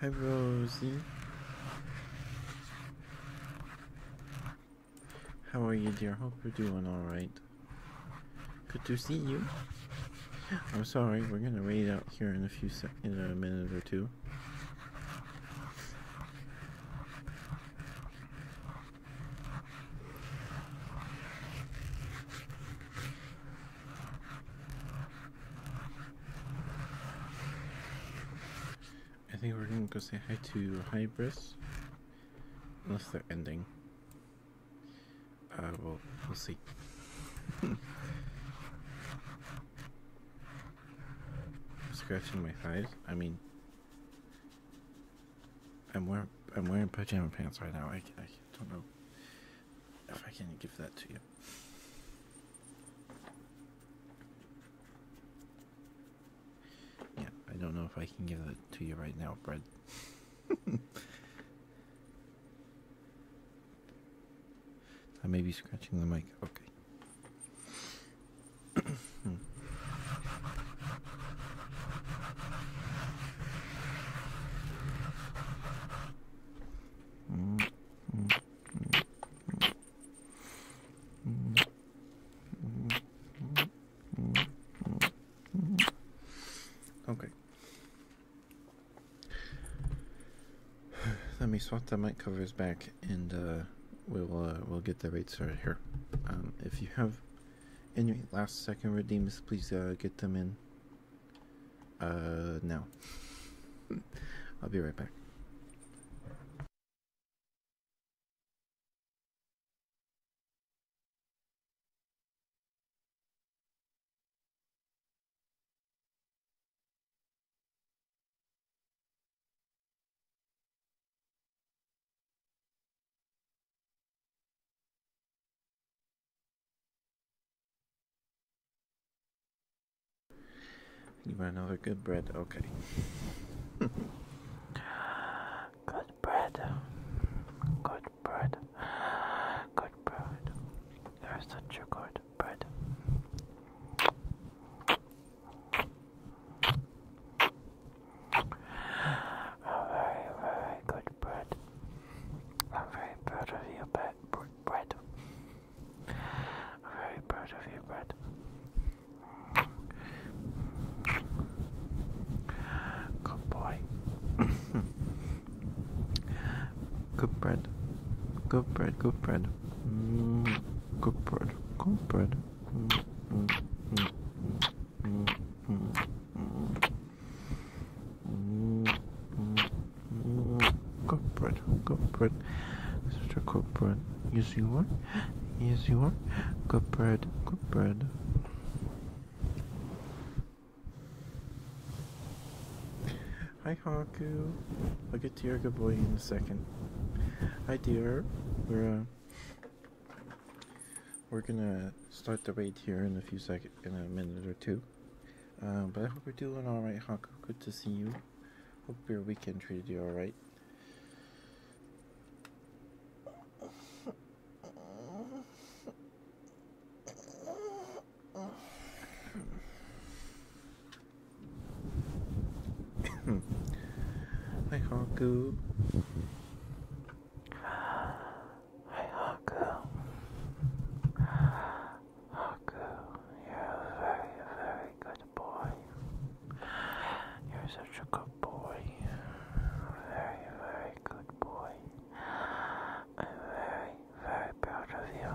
Speaker 2: Hi, Rosie. How are you, dear? Hope you're doing alright. Good to see you. I'm sorry, we're gonna wait out here in a few sec in a minute or two. I think we're gonna go say hi to Hybris. Unless they're ending. Uh, well, we'll see. <laughs> Scratching my thighs. I mean, I'm wearing I'm wearing pajama pants right now. I, I don't know if I can give that to you. Yeah, I don't know if I can give that to you right now, Brad. <laughs> I may be scratching the mic. Okay. Okay. Let me swap the mic covers back, and uh, we'll uh, we'll get the rates right here. Um, if you have any last second redeems, please uh, get them in. Uh, no. I'll be right back. You want another good bread? Okay. <laughs> good bread. Good bread. Good bread. There's such a good bread. A very, very good bread. I'm very proud of you, babe bread, very proud of you, bread. Good boy. good bread. Good bread. Good bread.
Speaker 3: Mm,
Speaker 2: good bread. Good bread. Mm, mm, Good good bread, Corporate, corporate, a good bread. you see one? you see one? Good bread, good bread. Hi, Haku. I'll get to your good boy in a second. Hi, dear. We're uh, we're gonna start the raid here in a few seconds, in a minute or two. Um, but I hope you're doing alright, Haku. Good to see you. Hope your weekend treated you alright. <coughs> Hi, Haku. Hi, Haku.
Speaker 1: Haku, you're a very, very good boy. You're such a good boy. Very, very good boy. I'm very, very proud of you.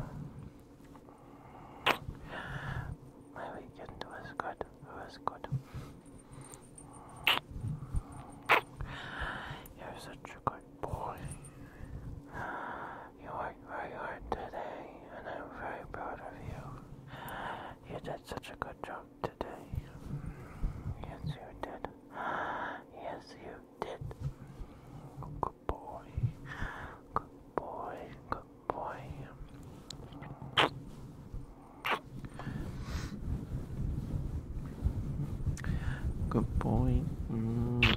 Speaker 1: My weekend was good. It was good. You're such a good good boy. You worked very hard today, and I'm very proud of you. You did such a good job today. Yes, you did. Yes, you did. Good boy. Good boy. Good
Speaker 2: boy. Good boy. Mm.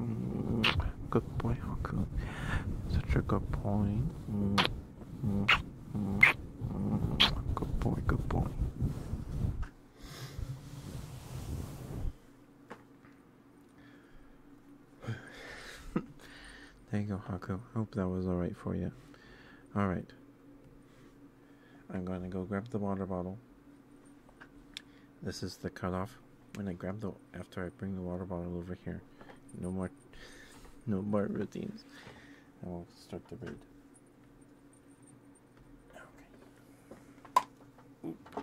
Speaker 2: Mm, good boy, Haku. Such a good boy. Mm, good boy, good boy. <laughs> there you go, Haku. Hope that was alright for you. Alright. I'm going to go grab the water bottle. This is the cutoff when I grab the after I bring the water bottle over here. No more, no more routines. I will start the read. Okay.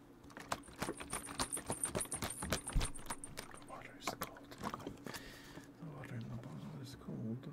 Speaker 2: The water is cold. The water in the bottle is cold.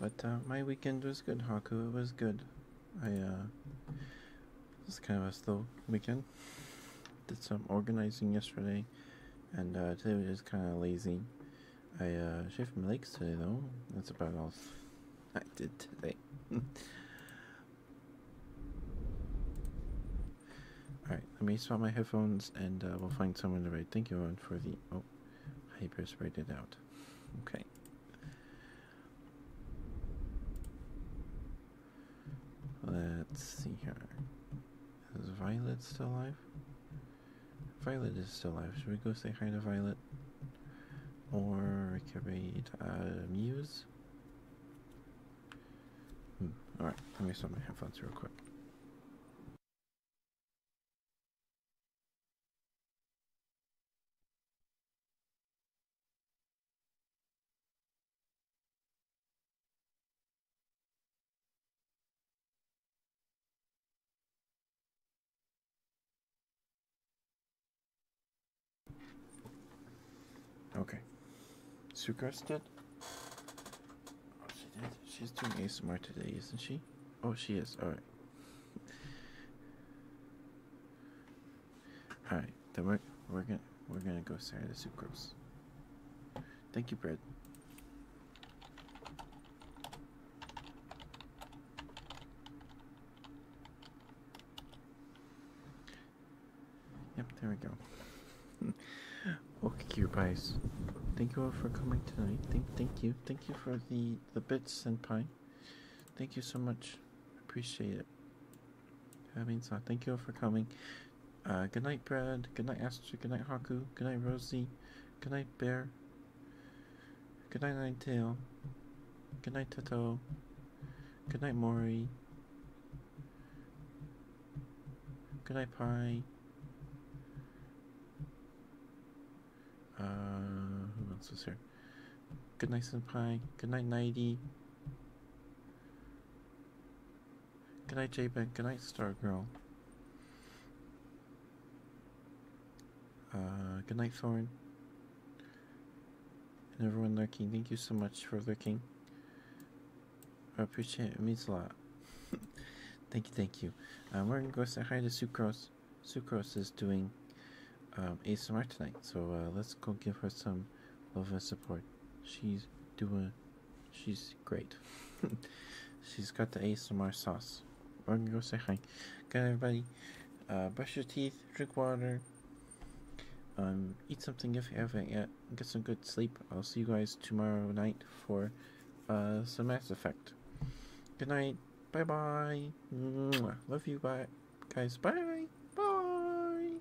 Speaker 2: But uh, my weekend was good, Haku. It was good. I uh, it was kind of a slow weekend did some organizing yesterday, and uh, today was just kind of lazy. I uh, shaved my legs today, though. That's about all I did today. <laughs> Alright, let me swap my headphones and uh, we'll find someone to write. Thank you, everyone, for the. Oh, hyper sprayed it out. Okay. Let's see here. Is Violet still alive? Violet is still alive. Should we go say hi to Violet? Or can we uh, Muse? Hmm, alright, let me stop my headphones real quick. Okay. Sucrest did? Oh, she did. She's doing ASMR today, isn't she? Oh, she is. Alright. Alright, then we're, we're gonna we're gonna go say the sucrose. Thank you, bread. Yep, there we go. <laughs> okay, Cubice. Thank you all for coming tonight. Thank, thank you, thank you for the the bits and pie. Thank you so much. Appreciate it. That means Thank you all for coming. Uh, good night, Brad. Good night, Astro. Good night, Haku. Good night, Rosie. Good night, Bear. Good night, Ninetale. Good night, Toto. Good night, Mori. Good night, Pie. Uh, who else was here? Good night, Senpai. Good night, Nighty. Good night, J-Bag. Good night, Stargirl. Uh, good night, Thorn. And everyone lurking, thank you so much for lurking. I appreciate it. It means a lot. <laughs> thank you, thank you. I'm uh, are going to go say hi to Sucrose. Sucrose is doing um, ASMR tonight, so uh, let's go give her some love and support. She's doing She's great. <laughs> She's got the ASMR sauce. I'm gonna go say hi. Okay, everybody, uh, brush your teeth, drink water, um, eat something if you haven't yet, get some good sleep. I'll see you guys tomorrow night for uh, some Mass Effect. Good night. Bye bye. Love you. Bye, guys. Bye. Bye.